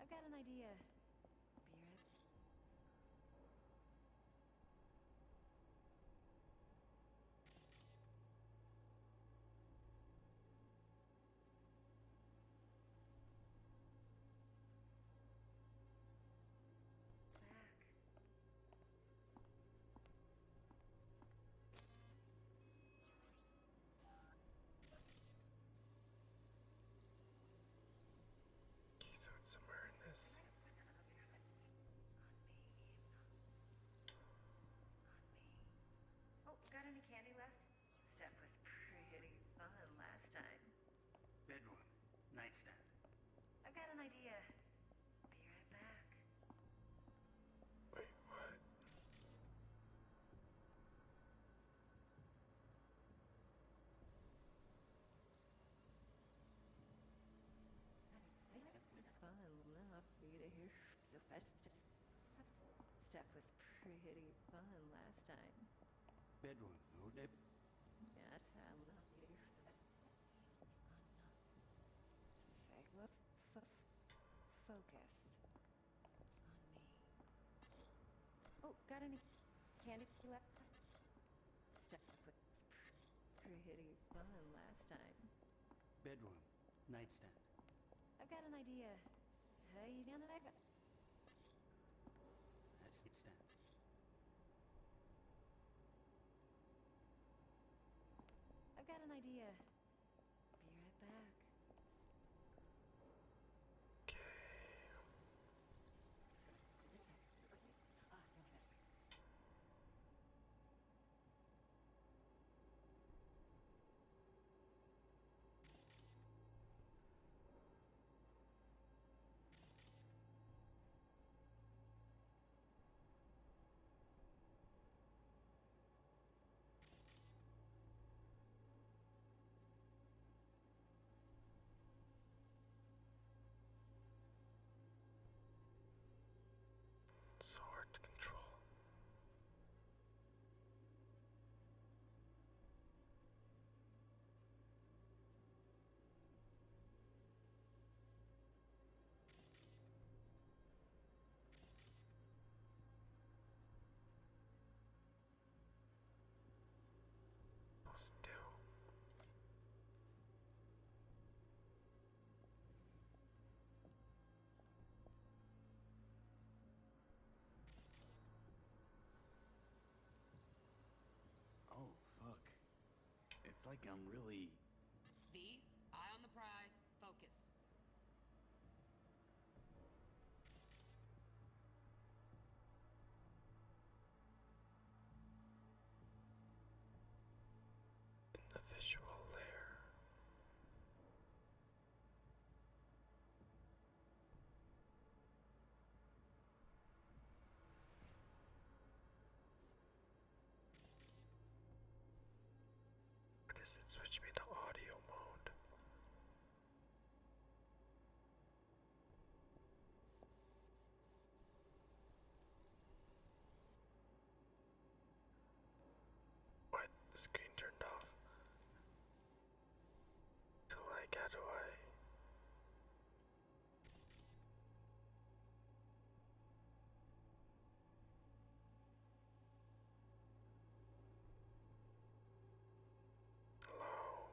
Speaker 8: I've got an idea. Be right back.
Speaker 2: Okay, so it's somewhere in this.
Speaker 8: Oh, got any candy left? Step was pretty fun last time.
Speaker 11: Bedroom, nightstand.
Speaker 8: I've got an idea. Be right back. Wait, what? fun. Love me to hear so fast. Stuff was pretty fun last time.
Speaker 11: Bedroom, no dip.
Speaker 8: Yes, I love you. Oh Focus. Oh, got any candy left? Stuff was pretty fun last time.
Speaker 11: Bedroom. Nightstand.
Speaker 8: I've got an idea. How you down that That's nightstand. I've got an idea. Be right back. Okay. Ah, wait a second. Ah, oh, no, this.
Speaker 2: It's so hard to control. Still.
Speaker 4: Oh, fuck. It's like I'm really...
Speaker 6: V, eye on the prize, focus
Speaker 2: in the visual layer. What does switch me to audio mode? What? The screen turned off. So like how do I
Speaker 8: Hello.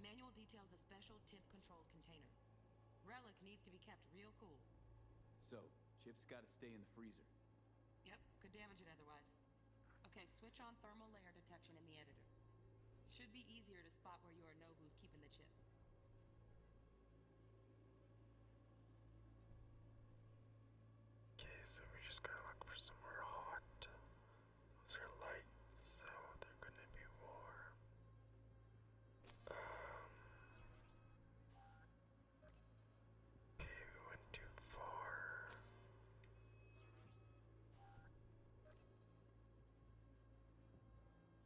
Speaker 8: Manual details a special temp-controlled container. Relic needs to be kept real cool.
Speaker 4: So, chip's gotta stay in the freezer.
Speaker 3: Yep, could damage it otherwise. Okay, switch on thermal layer detection in the editor. Should be easier to spot where your or know who's keeping the chip. Okay, so we just gotta look for somewhere hot. Those are lights, so they're gonna be warm. Um. Okay, we went too far.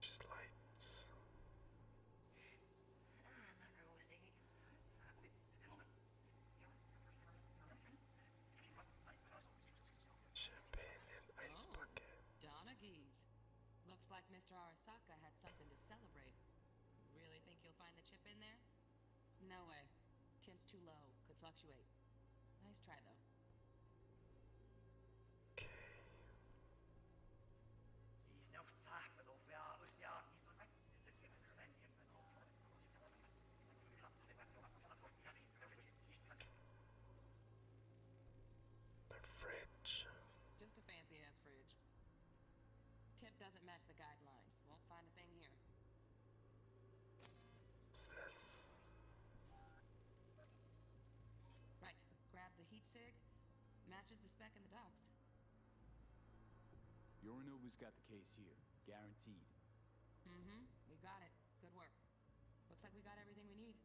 Speaker 2: Just lights. Champagne
Speaker 6: and
Speaker 3: oh. Looks like Mr. Arasaka I had something to celebrate. Really think you'll find the chip in there? No way. Tim's too low. Could fluctuate. Nice try, though.
Speaker 7: The fridge. Just a fancy ass fridge. Tip doesn't match the guidelines.
Speaker 3: Won't find a thing here. What's this? Right. Grab the heat sig. Matches the spec in the docs.
Speaker 4: Yorinobu's got the case here. Guaranteed.
Speaker 3: Mm-hmm. We got it. Good work. Looks like we got everything we need.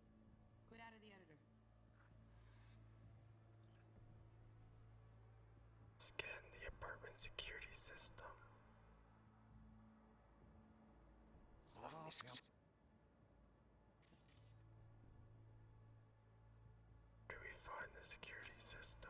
Speaker 5: Quit out of the editor.
Speaker 2: Scan the apartment security system.
Speaker 10: Oh, Do
Speaker 2: we find the security system?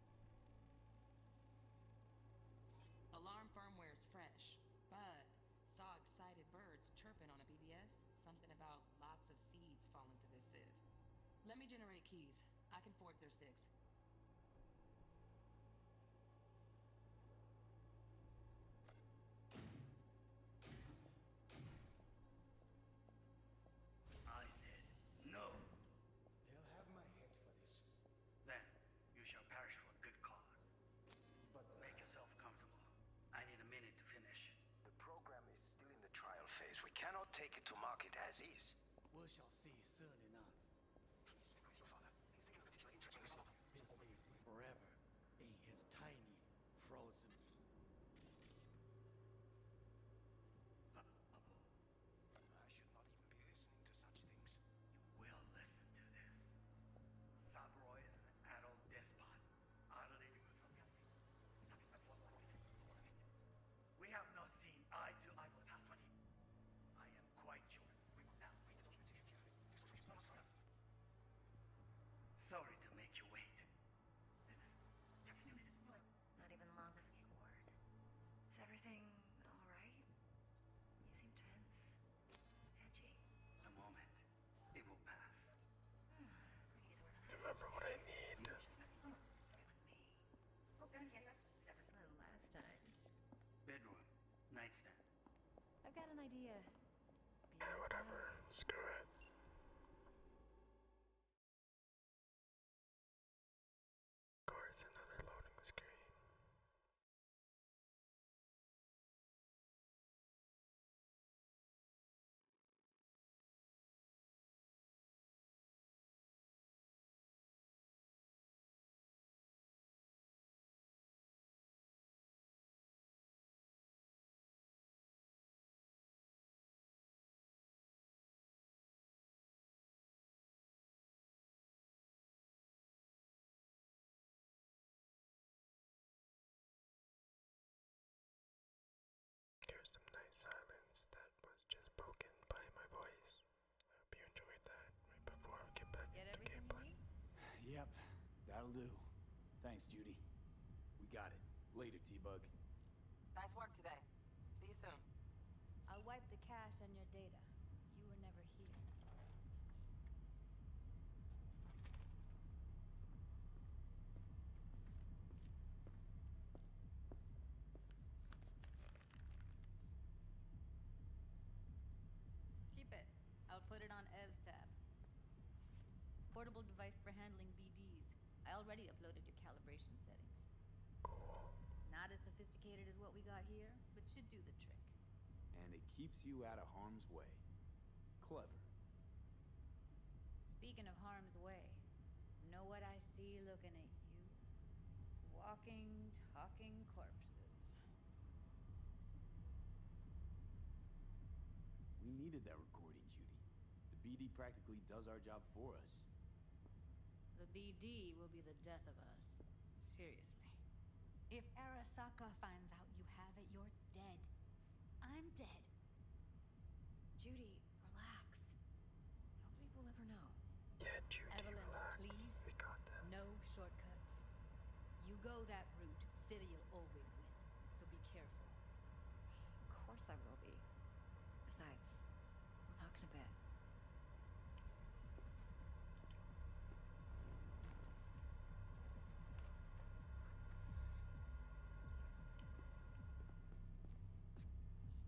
Speaker 8: Alarm firmware is fresh, but saw excited birds chirping on a BBS.
Speaker 11: Something about lots of seeds falling to this sieve. Let me generate keys. I can forge their six.
Speaker 10: I said no. They'll have my head for this.
Speaker 11: Then you shall perish for a good cause. But uh, make yourself comfortable. I need a minute to finish. The program is still in the trial phase. We cannot take it to market as is. We shall see soon enough. forever in his tiny, frozen... Uh, uh, I should not even be listening to such things. You will listen to this. Saburo is an adult despot. Utterly we have not seen eye to eye for the I am quite sure Sorry to make you
Speaker 8: wait. Not even long for the word. Is everything alright? You seem tense. Edgy.
Speaker 11: A moment. It will pass. Hmm.
Speaker 8: Remember what I need. Oh, oh,
Speaker 11: Bedroom. Nightstand.
Speaker 8: I've got an idea.
Speaker 11: whatever.
Speaker 1: Screw it. Of course, another loading screen. Here's some nice silence that was just broken by my voice.
Speaker 2: I hope you enjoyed that right before I get back get into gameplay.
Speaker 4: Yep, that'll do. Thanks, Judy. We got it. Later, T-Bug.
Speaker 7: Nice work today. See you soon. I'll wipe the cache and your data. Keep it. I'll put it on Ev's tab. Portable device for handling BDs. I already uploaded your calibration settings. Not as sophisticated as what we got here, but should do the trick.
Speaker 4: And it keeps you out of harm's way.
Speaker 9: Clever.
Speaker 7: Speaking of harm's way, know what I see looking at you? Walking, talking corpses.
Speaker 4: We needed that recording, Judy. The BD practically does our job for us.
Speaker 7: The BD will be the death of us. Seriously. If Arasaka finds out you have
Speaker 8: it, you're dead. I'm dead. Judy, relax. Nobody will ever know. Yeah, Judy, Evelyn, please. No
Speaker 7: shortcuts. You go that route, city'll always win. So be careful.
Speaker 8: Of course I will be. Besides, we'll talk in a bit.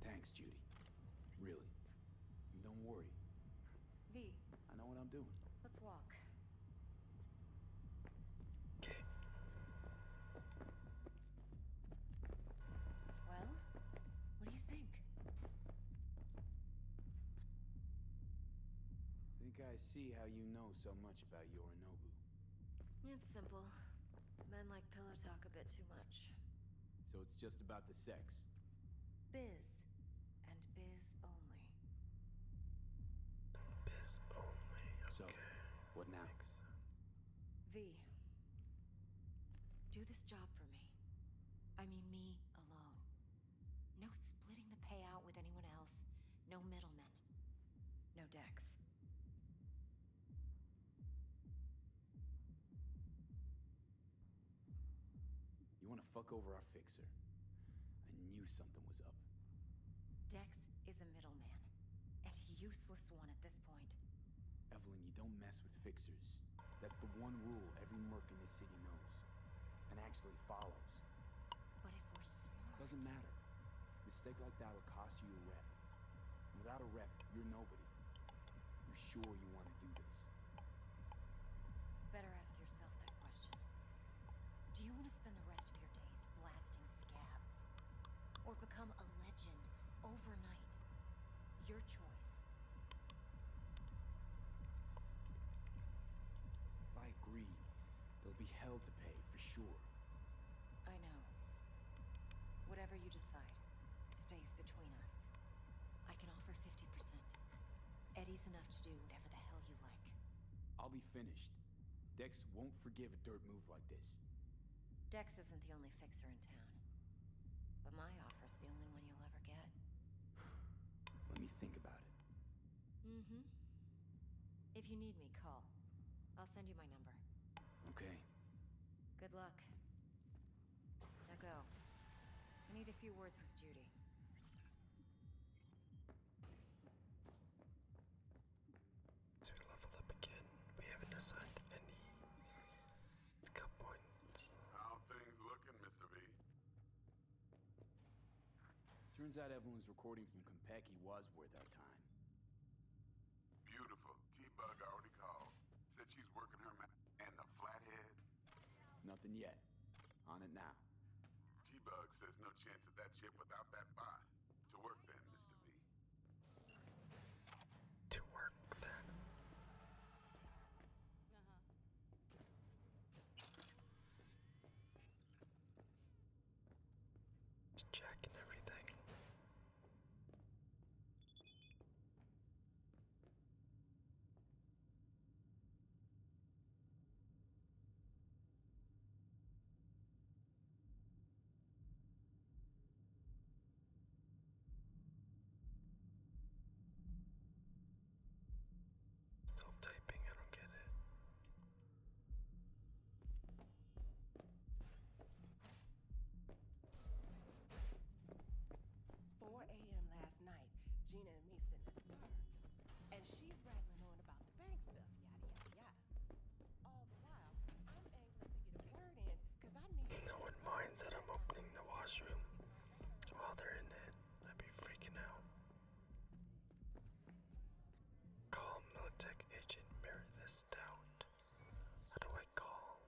Speaker 4: Thanks, Judy. Really. don't worry. V. I know what I'm doing.
Speaker 8: Let's walk. Okay.
Speaker 7: Well? What do you think? I
Speaker 4: think I see how you know so much about Yorinobu.
Speaker 8: It's simple. Men like pillow talk a bit too much.
Speaker 4: So it's just about the sex?
Speaker 8: Biz. And biz only.
Speaker 4: Biz only, okay. what next?
Speaker 8: V. Do this job for me. I mean me alone. No splitting the payout with anyone else. No middlemen. No Dex.
Speaker 4: You want to fuck over our fixer. I knew something was up.
Speaker 8: Dex is a middleman. And useless one at this point.
Speaker 4: Evelyn, you don't mess with fixers. That's the one rule every merc in this city knows. And actually follows.
Speaker 8: But if we're smart... Doesn't matter.
Speaker 4: Mistake like that will cost you a rep. without a rep, you're nobody. You sure you want to do this?
Speaker 8: Better ask yourself that question. Do you want to spend the rest of your days blasting scabs? Or become a legend overnight? Your choice.
Speaker 4: If I agree, there'll be hell to pay for sure.
Speaker 8: I know. Whatever you decide, stays between us. I can offer 50%. Eddie's enough to do whatever the hell you like.
Speaker 4: I'll be finished. Dex won't forgive a dirt move like this.
Speaker 8: Dex isn't the only fixer in town. But my offer offer's the only one you'll ever get. (sighs) Let me think about it. Mm-hmm. If you need me, call. I'll send you my number. Okay. Good luck. Now go. I need a few words with Judy. So to level up again, we haven't assigned any
Speaker 3: scout points. How things looking, Mr. V?
Speaker 4: Turns out everyone's recording from Compeki was worth our time.
Speaker 3: Beautiful. T-Bug already called. Said she's working her ma- And the flathead?
Speaker 4: Nothing yet. On it now.
Speaker 3: T-Bug says no chance of that ship without that buy. To work then, Mr. B.
Speaker 1: To work then. Uh-huh. It's checking everything.
Speaker 10: Stop typing, I don't get it. Four AM last night, Gina and me sitting at And she's rattling on about the bank stuff, yada yada yada. All the while, I'm angling to get a word in, I need
Speaker 2: No one minds that I'm opening the washroom while they're in it. I'd be freaking out. Call Militech Agent Meredith Stout. How do I call?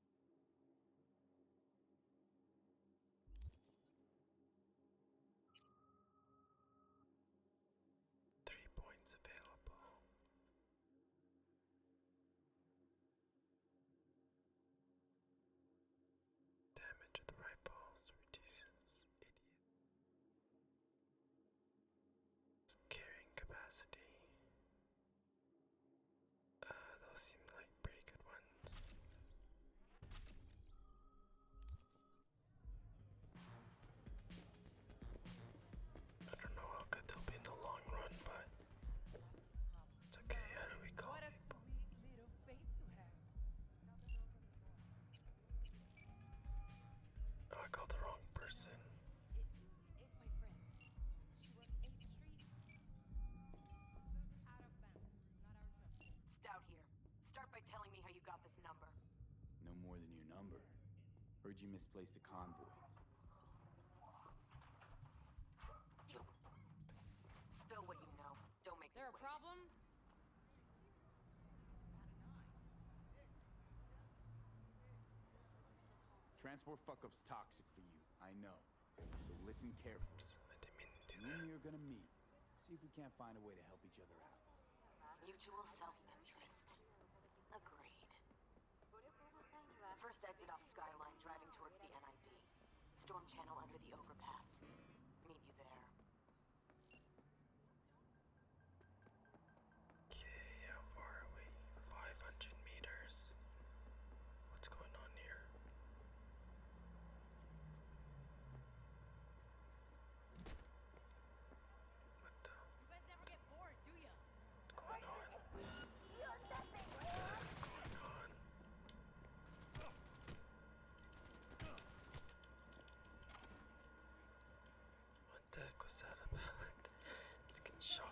Speaker 2: Three points available. Damage to the rifles reduces idiot. Carrying capacity uh, those seem like pretty good ones. I don't know how good they'll be in the long run, but it's okay. How do we call people? Oh, I called the wrong person.
Speaker 6: Stout here. Start by telling me how you got this number.
Speaker 4: No more than your number. Heard you misplaced a convoy.
Speaker 8: You... Spill what you know. Don't make
Speaker 1: There a problem?
Speaker 4: Transport fuckup's toxic for you, I know. So listen carefully. You and me are gonna meet. See if we can't find a way to help each
Speaker 10: other out.
Speaker 8: Mutual self-interest. Agreed. First exit off Skyline, driving towards the NID. Storm channel under the overpass. Meet you there.
Speaker 2: Okay, how far are 500 meters. What's going on here? What
Speaker 7: the? You guys never get bored, do
Speaker 1: you? What's going on? What's going on?
Speaker 2: What the heck was that about? (laughs) it's getting shot.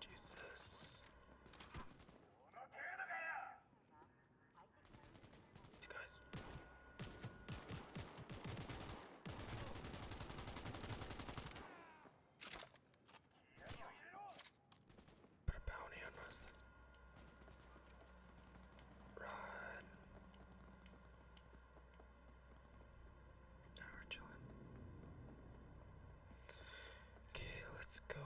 Speaker 2: Jesus. These guys. Put a bounty on us. That's Run. Now we're chilling. Okay, let's go.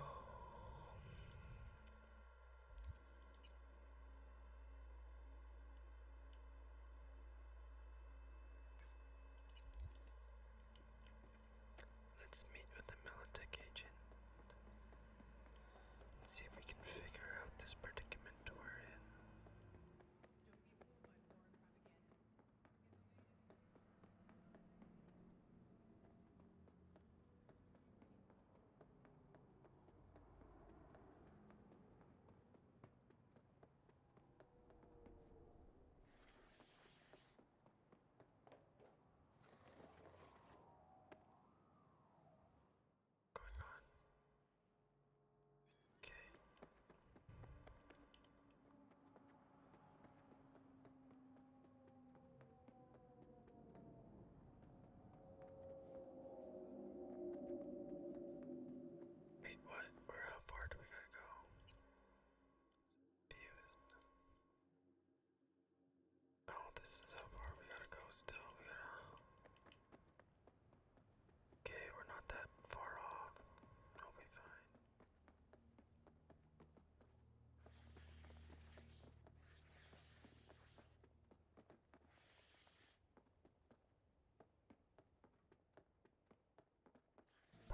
Speaker 2: Let's meet with the Militech agent. Let's see if we can
Speaker 1: figure out this predicament we're in going on. Okay. Wait, what? Or how far do we gotta go? Confused.
Speaker 2: Oh, this is how far we gotta go still. We gotta. Okay, we're not that far off. We'll be fine.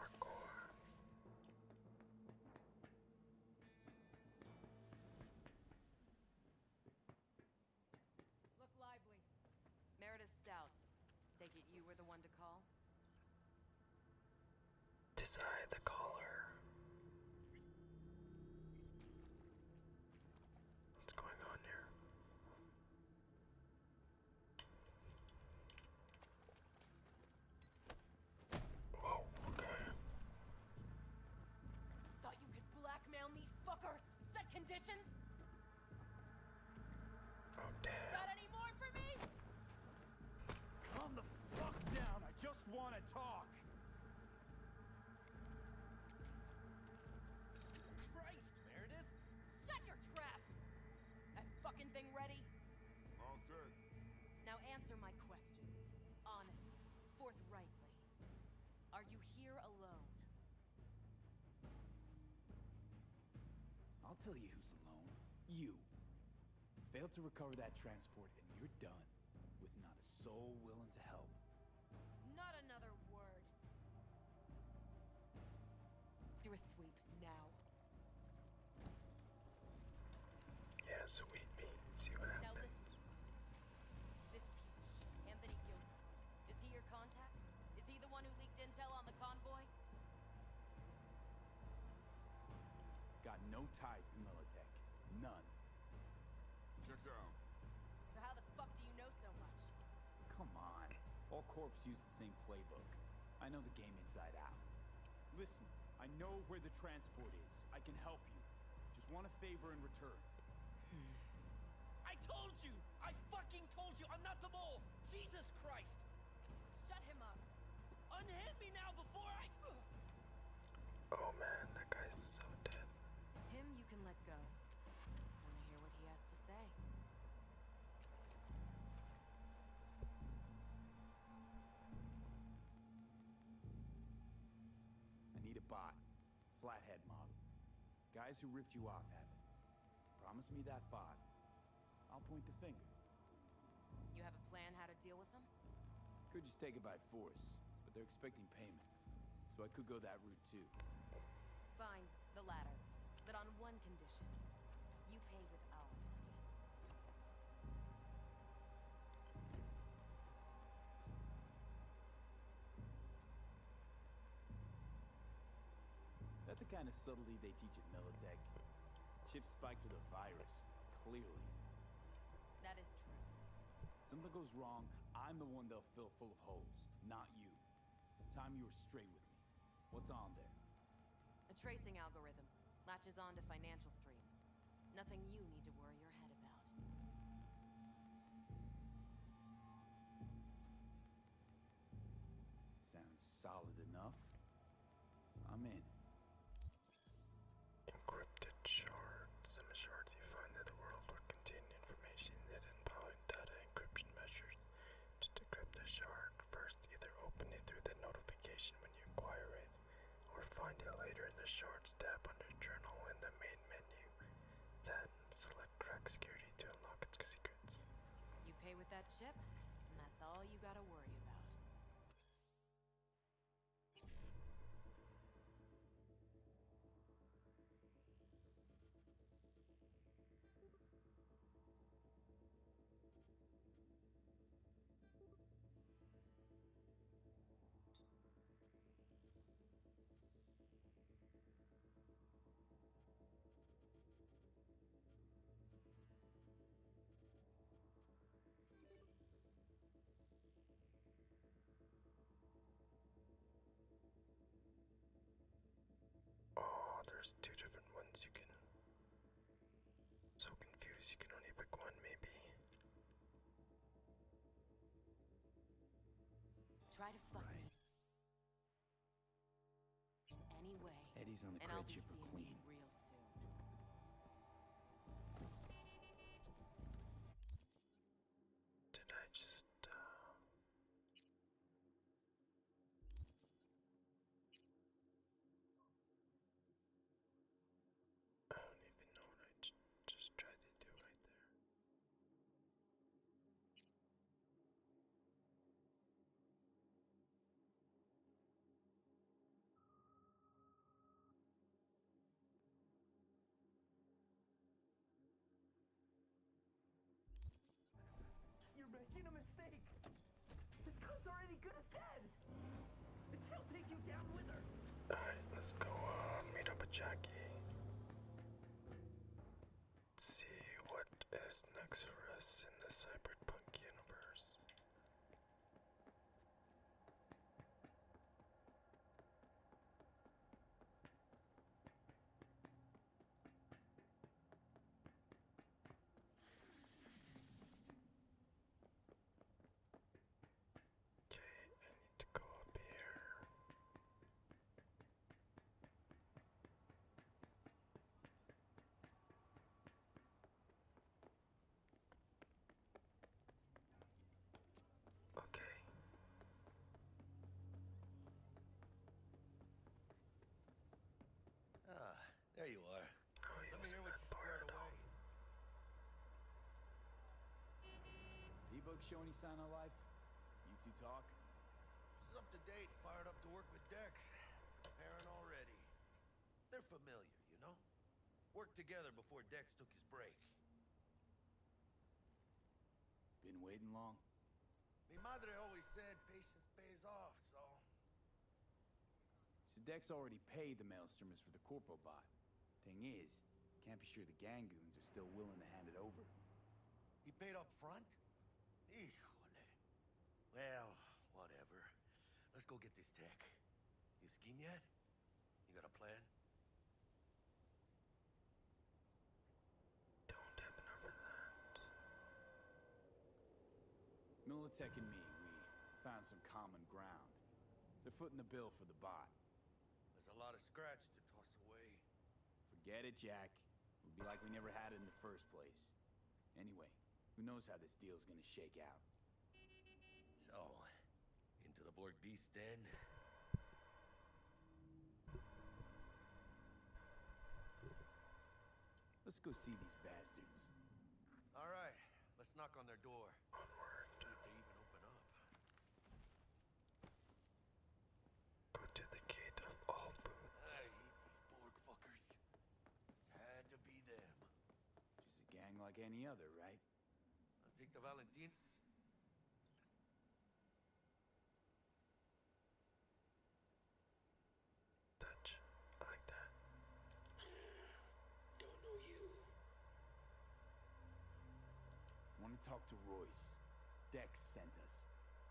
Speaker 1: Parkour. Look lively.
Speaker 8: Meredith Stout. Take it you were the one to call? Decide
Speaker 2: the caller. What's going on here?
Speaker 6: Whoa, okay. Thought you could blackmail me, fucker! Set conditions? Got any
Speaker 1: more for me?
Speaker 4: Calm the fuck down. I just want to talk.
Speaker 6: Christ, Meredith! Shut your trap! That fucking thing ready? All set. Now answer my questions. Honestly, forthrightly. Are you here alone?
Speaker 4: I'll tell you who's alone. You. Fail to recover that transport and you're done. With not a soul willing to help.
Speaker 6: Not another word. Do a sweep now.
Speaker 2: Yeah, sweep See what happens.
Speaker 6: This piece of shit, Anthony Gilchrist. Is he your contact? Is he the one who leaked intel on the convoy?
Speaker 4: Got no ties to Militech. None. Check down.
Speaker 6: So how the fuck do you know so much?
Speaker 4: Come on. All corps use the same playbook. I know the game inside out. Listen, I know where the transport is. I can help you. Just want a favor in return.
Speaker 9: I told you! I fucking told you! I'm not the mole! Jesus Christ! Shut him up! Unhand me now before I...
Speaker 2: Oh man, that guy's so dead.
Speaker 8: Him you can let go. Wanna hear what he has to say?
Speaker 4: I need a bot. Flathead model. Guys who ripped you off have it. Promise me that bot. I'll point the finger.
Speaker 6: You have a plan how to deal with them?
Speaker 4: Could just take it by force, but they're expecting payment. So I could go that route too.
Speaker 6: Fine, the latter. But on one condition.
Speaker 8: You pay with our money.
Speaker 4: That's the kind of subtlety they teach at Melotech. Chip spiked with a virus, clearly.
Speaker 7: That is true.
Speaker 4: Something goes wrong, I'm the one they'll fill full of holes, not you. Time you were straight with me. What's on there?
Speaker 8: A tracing algorithm. Latches on to financial streams. Nothing you need to worry your head about.
Speaker 4: Sounds solid enough. I'm in. Encrypted shards.
Speaker 2: Some shards you find that the world will contain information hidden behind data encryption measures. To decrypt a shard, first either open it through the notification when you acquire it, or find it later in the shards tab under journal in the main menu. Then Select crack security to unlock its secrets.
Speaker 8: You pay with that chip, and that's all you gotta worry about.
Speaker 2: Oh, there's two different ones you can. So confused, you can only pick one, maybe.
Speaker 8: Try to find. Eddie's on the credit ship for Queen.
Speaker 2: Did I just uh, I don't even know what I just tried to do right there.
Speaker 10: You're making a mistake. This gun's already good as dead. And she'll take you down with her.
Speaker 2: Alright, let's go uh, meet up with Jackie see what is next for us in the cyberpunk universe. Okay, I need to go up here.
Speaker 5: Okay. Ah, there you are. Oh, Let me hear what you squared away.
Speaker 4: T-Bug show any sign of life? You two talk?
Speaker 5: up to date, fired up to work with Dex. Preparing already. They're familiar, you know? Worked together before Dex took his break.
Speaker 4: Been waiting long?
Speaker 5: Mi madre always said patience pays off, so...
Speaker 4: So Dex already paid the Maelstromers for the Corpo Thing is, can't be sure the Gangoons are still willing to hand it over. He paid up front? Well, whatever. Let's go get this tech.
Speaker 5: You scheme yet? You got a plan?
Speaker 4: Don't happen over that. Militech and me, we found some common ground. They're footing the bill for the bot.
Speaker 5: There's a lot of scratch to toss away.
Speaker 4: Forget it, Jack. It would be like we never had it in the first place. Anyway, who knows how this deal's gonna shake out. So, into the Borg Beast Den? Let's go see these bastards.
Speaker 5: All right, let's knock on their door. Go to the gate of all boots. I hate these Borg fuckers. had to be
Speaker 4: them. Just a gang like any other, right? i take the Valentine.
Speaker 2: Touch. like that. Don't know you.
Speaker 4: Want to talk to Royce. Dex sent us.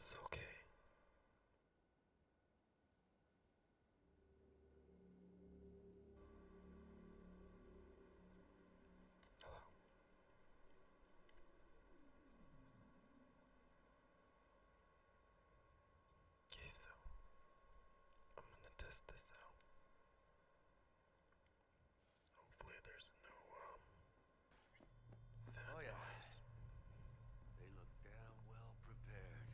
Speaker 1: It's okay. Hello.
Speaker 2: Okay, so I'm gonna test this out.
Speaker 4: Hopefully um, oh, yeah. They look damn well prepared.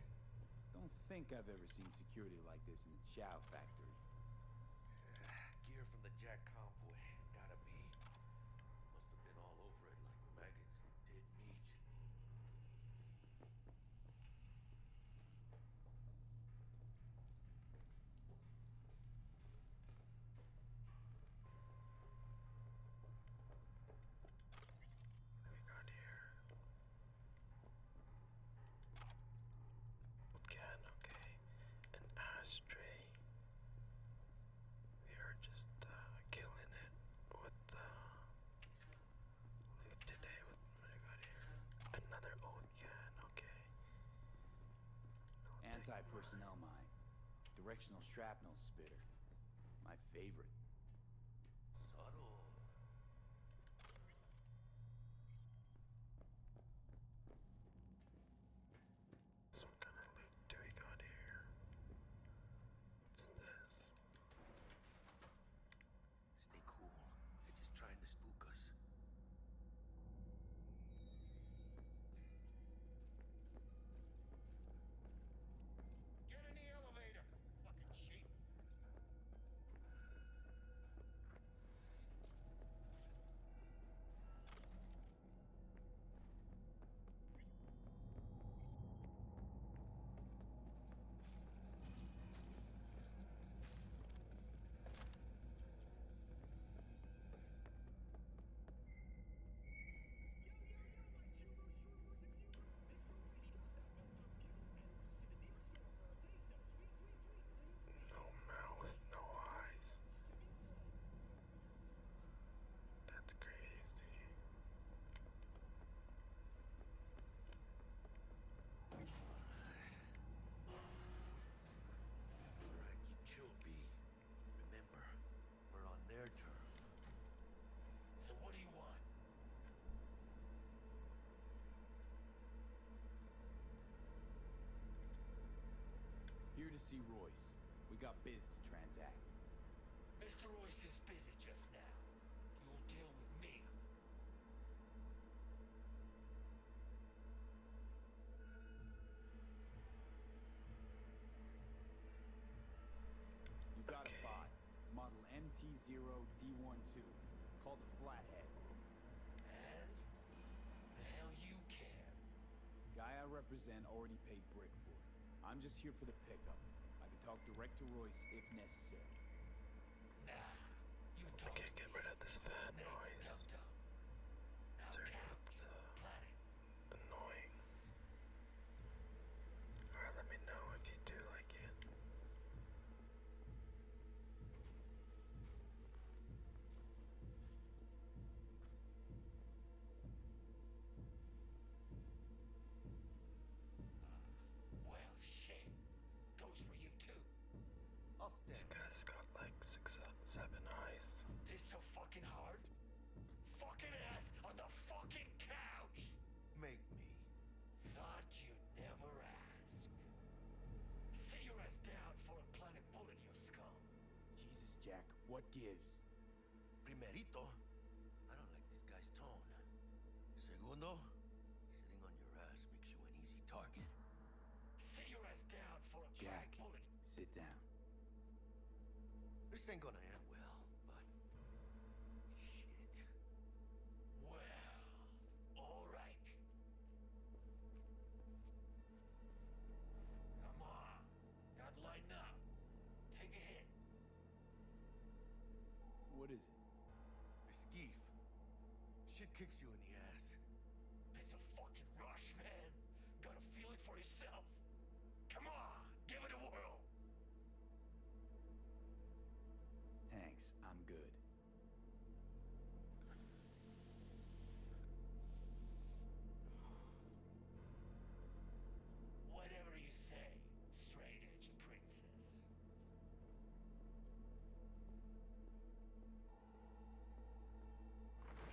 Speaker 4: Don't think I've ever seen security like this in a chow factory.
Speaker 5: gear from the Jack convoy. Gotta be. Must have been all over it like maggots and dead meat. What
Speaker 2: we got here? What can? Okay, an ashtray. We are just uh, killing it with the
Speaker 1: uh, loot today. With what we got here? Another old can. Okay.
Speaker 4: Anti-personnel mine. Directional shrapnel spitter. My favorite. Subtle.
Speaker 2: So kind of loot do we got here? What's this? Stay cool. They're just
Speaker 5: trying to spook us. Get in the elevator, fucking
Speaker 11: sheep.
Speaker 2: No mouth, no eyes. That's crazy.
Speaker 5: All right. All right, you killed me. Remember, we're on their turf.
Speaker 4: So what do you want? Here to see Royce. We got biz to transact.
Speaker 11: Mr. Royce is busy just now. You will deal with me.
Speaker 4: You got a bot. Model MT0D12. Called the flathead. And? The hell you care? Guy I represent already paid brick for it. I'm just here for the pickup. I can talk direct to Royce if necessary.
Speaker 2: Nah. You can't get
Speaker 4: rid of this fat
Speaker 2: noise. Tum -tum annoying. Alright, let me know if you do like it.
Speaker 11: Well, shit. Goes for you too. This guy's got like six, seven eyes. They're so fucking hard. Fucking ass on the fucking couch! Make me. Thought you'd never ask. Say your ass down for a planet
Speaker 5: bullet in your skull. Jesus, Jack, what gives? Primerito, I don't like this guy's tone. Segundo, sitting on your ass makes you an easy target. Say your ass down for a planet Jack, Sit down. This ain't gonna end
Speaker 11: well, but... Shit. Well, all right. Come on. Now lighten up. Take a hit.
Speaker 4: What is it? It's
Speaker 5: Geef. Shit kicks you in the ass.
Speaker 11: It's a fucking rush, man. Gotta feel it for yourself. Come on, give it a whirl.
Speaker 4: Thanks, I'm good.
Speaker 11: Whatever you say, straight princess.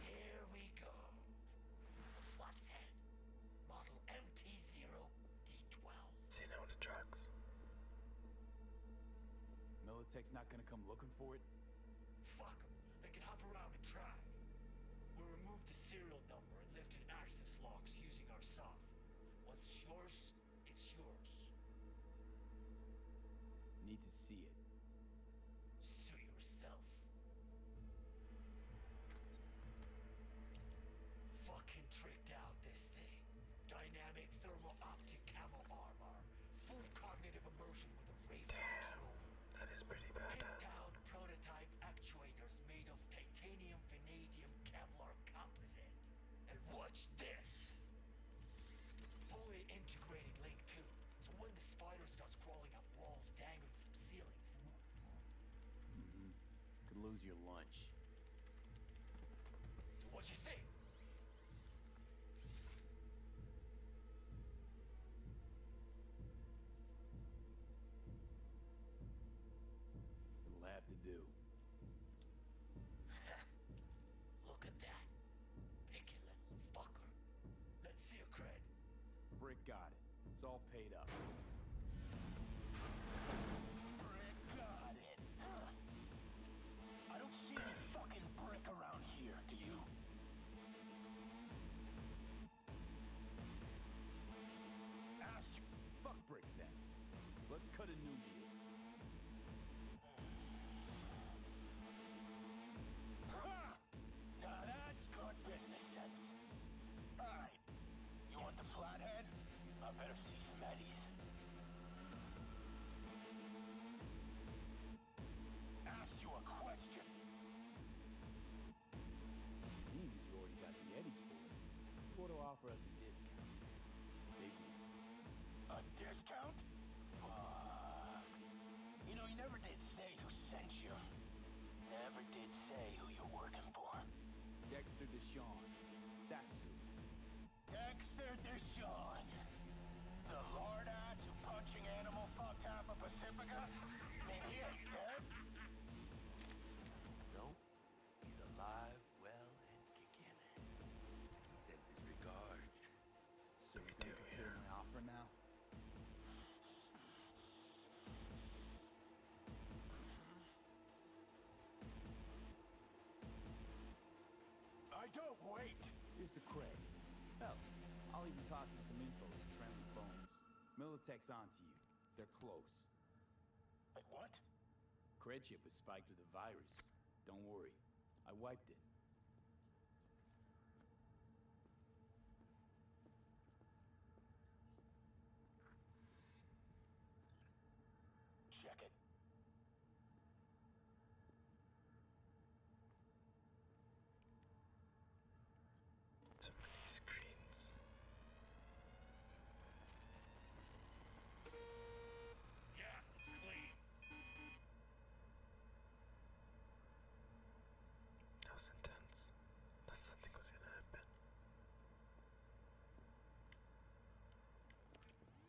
Speaker 2: Here we go flathead. Model MT0D12. See no to drugs.
Speaker 4: Militech's not gonna come looking for it?
Speaker 2: Fuck them. They can hop around and try. We removed the serial number and lifted
Speaker 6: access locks using our soft. What's yours is yours.
Speaker 4: Need to see it.
Speaker 11: Suit yourself. Fucking tricked out this thing. Dynamic thermal optic camo armor. Full cognitive immersion with a wave control. That is pretty badass. down prototype actuators made of titanium vanadium Kevlar composite. And watch this! Fully integrating Link 2, so when the spider starts crawling up walls dangling from ceilings,
Speaker 4: Mm-hmm. Could lose your lunch. what you think? It'll have to do. (laughs) Look at that. Picky little fucker. Let's see your cred. Brick got it. It's all paid up. I don't see any fucking brick around here, do you? Asked you. Fuck brick then. Let's cut a new deal.
Speaker 11: Now that's good business sense. Alright, you want the flathead?
Speaker 4: I better see some eddies. Asked you a question. Seems you already got the eddies for it. You to offer us a discount. A discount? you know, you never did say who sent you. Never did say who you're working for. Dexter Deshawn. That's who. Dexter Deshawn. The lord ass who punching animal fucked half of Pacifica?
Speaker 5: Man, he ain't dead. No, he's alive, well, and kicking. sends his regards. So you consider
Speaker 4: my offer now? I don't wait! Here's the cred. Hell, oh, I'll even toss in some info as friendly bones. Militech's onto you. They're close. But what? Cred chip was spiked with a virus. Don't worry. I wiped it.
Speaker 11: Check it.
Speaker 2: So many screens. Yeah, it's clean. That was intense. That something was gonna happen.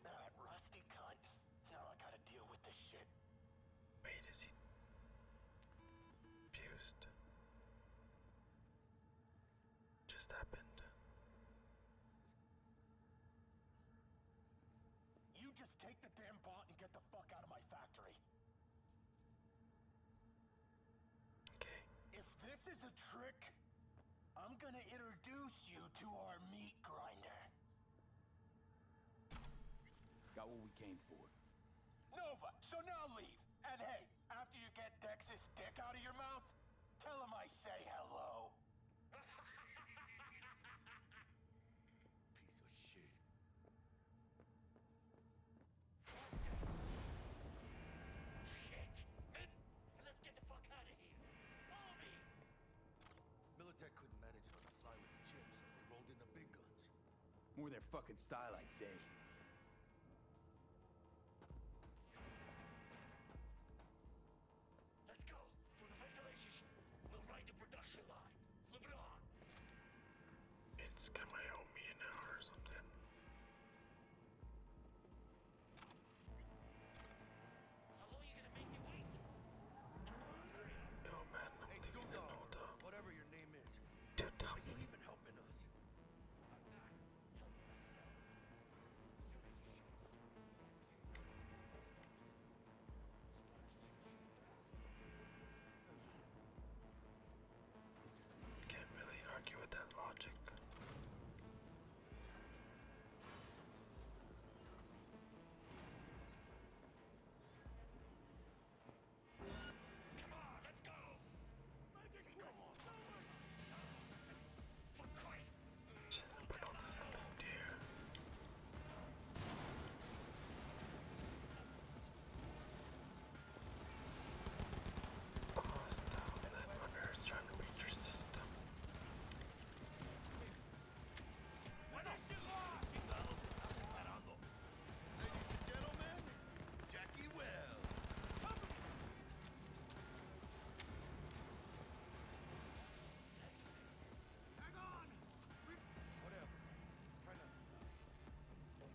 Speaker 2: That rusty cunt. Now I gotta deal with this shit. Wait, is he fused? Just happened.
Speaker 5: You just take the damn bot and get the fuck out of my factory. If this is a trick,
Speaker 6: I'm gonna introduce you to our meat grinder.
Speaker 4: Got what we came for.
Speaker 6: Nova, so now leave. And
Speaker 5: hey, after you get Dex's dick out of your mouth, tell him I say hello. (laughs) Piece of shit.
Speaker 1: Shit!
Speaker 11: let's get the fuck out of here. Follow me.
Speaker 5: Militech couldn't manage it on with the chips, they rolled in the big guns.
Speaker 4: More their fucking style, I'd say.
Speaker 11: Let's go! Through the ventilation! We'll ride the production line!
Speaker 1: Flip
Speaker 2: it on! It's gonna help me an hour or something.
Speaker 5: How long you gonna make me wait? Oh, hey, thinking Dundar, Whatever your name is. Dundar. Are you even helping us?
Speaker 2: Can't really argue with that logic. Come on, let's go! Come on! Put all this stuff in Hostile, and that runner is trying to reach your system.
Speaker 5: Ladies and gentlemen, Jackie Wells. Hang on! Whatever. Try not to.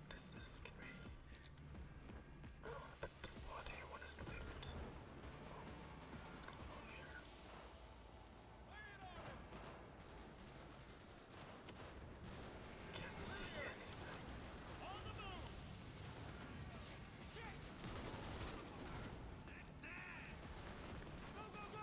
Speaker 2: What does this give me? the spot here when it slipped. What's going on here? Can't see anything. On the move! Shit! Go, go, go!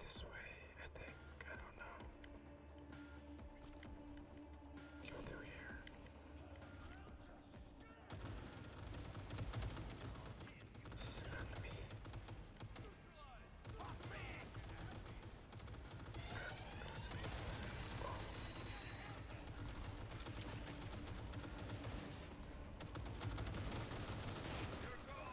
Speaker 2: This way, I think. I don't know. Go through here. Sit on me. That was amazing. That was amazing. Oh. Here it goes.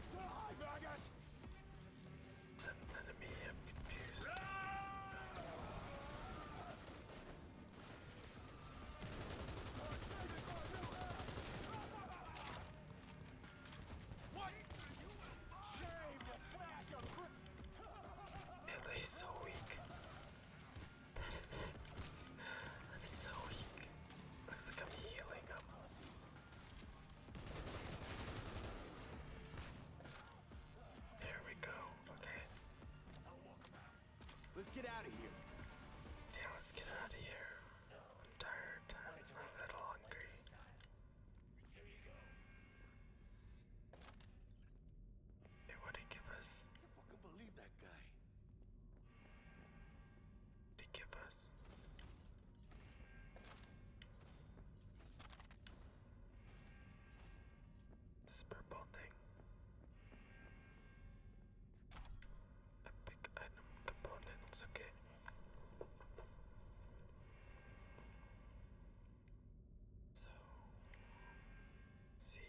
Speaker 2: Die, maggot! It's an enemy, I'm confused.
Speaker 6: What?
Speaker 1: Shame, you flash of...
Speaker 2: Billy's so weak. that is so weak. Looks like I'm healing him.
Speaker 4: There we go. Okay. Let's get out of here. Yeah, let's get out of here. I'm tired. I'm a little hungry.
Speaker 2: Hey, what did he give us? I fucking believe that guy to give us this thing. Epic item components, okay. So see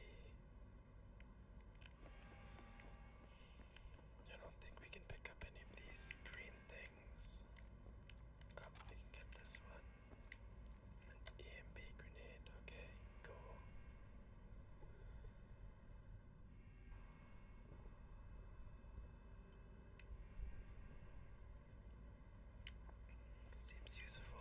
Speaker 2: I don't think we can pick up any of these green things. Oh, we can get this one. EMP grenade, okay, cool. Seems useful.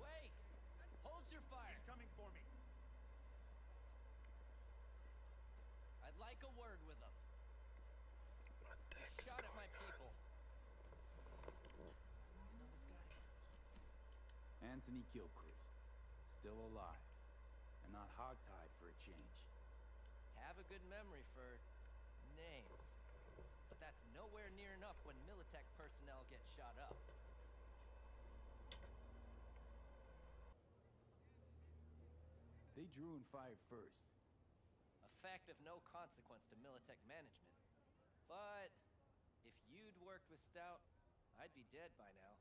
Speaker 9: Wait! Hold your fire! He's coming for me. I'd like a word with him. Shot at my people.
Speaker 4: Anthony Gilchrist. Still alive. And not hogtied for a change.
Speaker 9: Have a good memory for names. But that's nowhere near enough when Militech personnel get shot up.
Speaker 4: They drew and fired first.
Speaker 9: A fact of no consequence to Militech management. But if you'd worked with Stout, I'd be dead by now.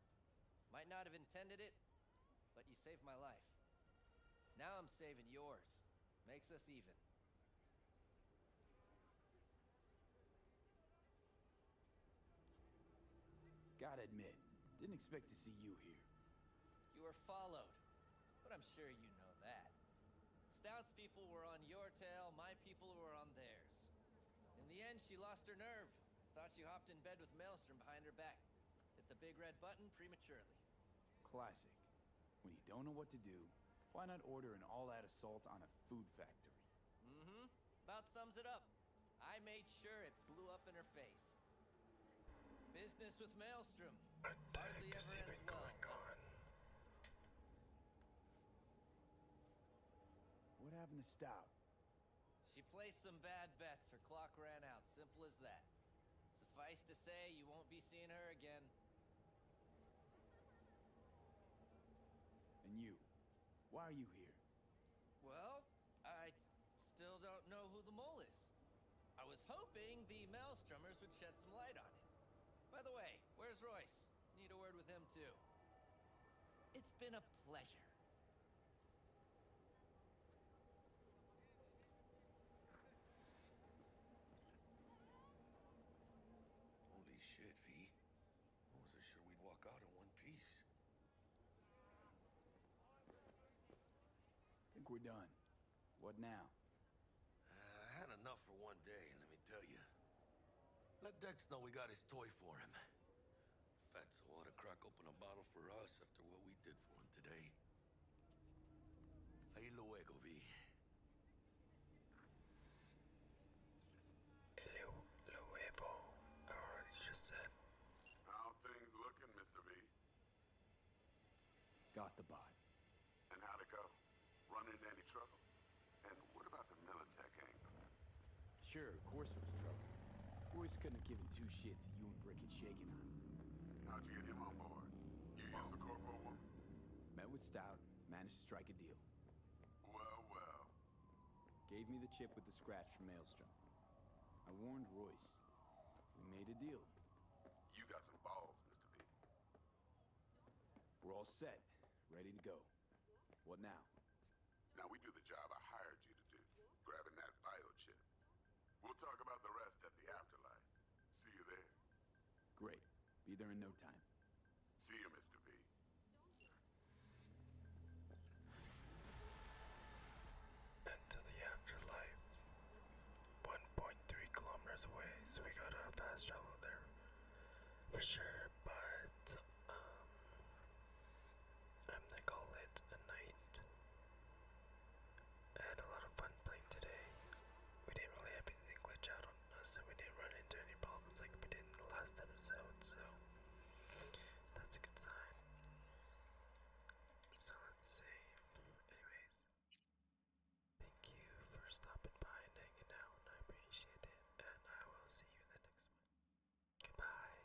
Speaker 9: Might not have intended it, but you saved my life. Now I'm saving yours. Makes us even.
Speaker 4: Gotta admit, didn't expect to see you here.
Speaker 9: You were followed, but I'm sure you know that. Stout's people were on your tail, my people were on theirs. In the end, she lost her nerve. Thought she hopped in bed with Maelstrom behind her back. Hit the big red button prematurely.
Speaker 4: Classic. When you don't know what to do, why not order an all-out assault on a food factory?
Speaker 9: Mm-hmm. About sums it up. I made sure it blew up in her face. Business with Maelstrom. Hardly ever ends well.
Speaker 4: What happened to Stout?
Speaker 9: She placed some bad bets. Her clock ran out. Simple as that. Suffice to say, you won't be seeing her again. And you?
Speaker 4: Why are you here?
Speaker 9: Well, I still don't know who the mole is. I was hoping the Maelstromers would shed some light on it. By the way, where's Royce? Need a word with him too. It's been a pleasure.
Speaker 5: Holy shit, V. I wasn't sure we'd walk out in one
Speaker 4: piece. I think we're done. What now? Uh,
Speaker 5: I had enough for one day, let me tell you. Let Dex know we got his toy for him. Fatso ought to crack open a bottle for us after what we did for him today. Ahí luego
Speaker 3: vi. Luego, I already just said. How things looking, Mr. V? Got the bot. And how'd it go? Run into any trouble? And what about the Militech angle?
Speaker 4: Sure, of course there was trouble. Boys couldn't have given two shits that you and Brick had shaken on. How'd you get him on board? You used the corporal woman? Met with Stout, managed to strike a deal. Well, well. Gave me the chip with the scratch from Maelstrom. I warned Royce. We made a deal. You got some balls, Mr. B.
Speaker 3: We're all set, ready to go. What now? Now we do the job I hired you to do, grabbing that bio chip. We'll talk about the rest at the afterlife. See you there. Great. Be there in no time. See you, Mr. B.
Speaker 2: And the afterlife. 1.3 kilometers away, so we gotta fast travel there. For sure, but um, I'm gonna call it a night. I had a lot of fun playing today. We didn't really have anything glitch out on us, and we didn't run into any problems like we did in the last episode, so that's a good sign. So let's see. Anyways, thank you for stopping by and hanging out. I appreciate it, and I will
Speaker 1: see you in the next one. Goodbye.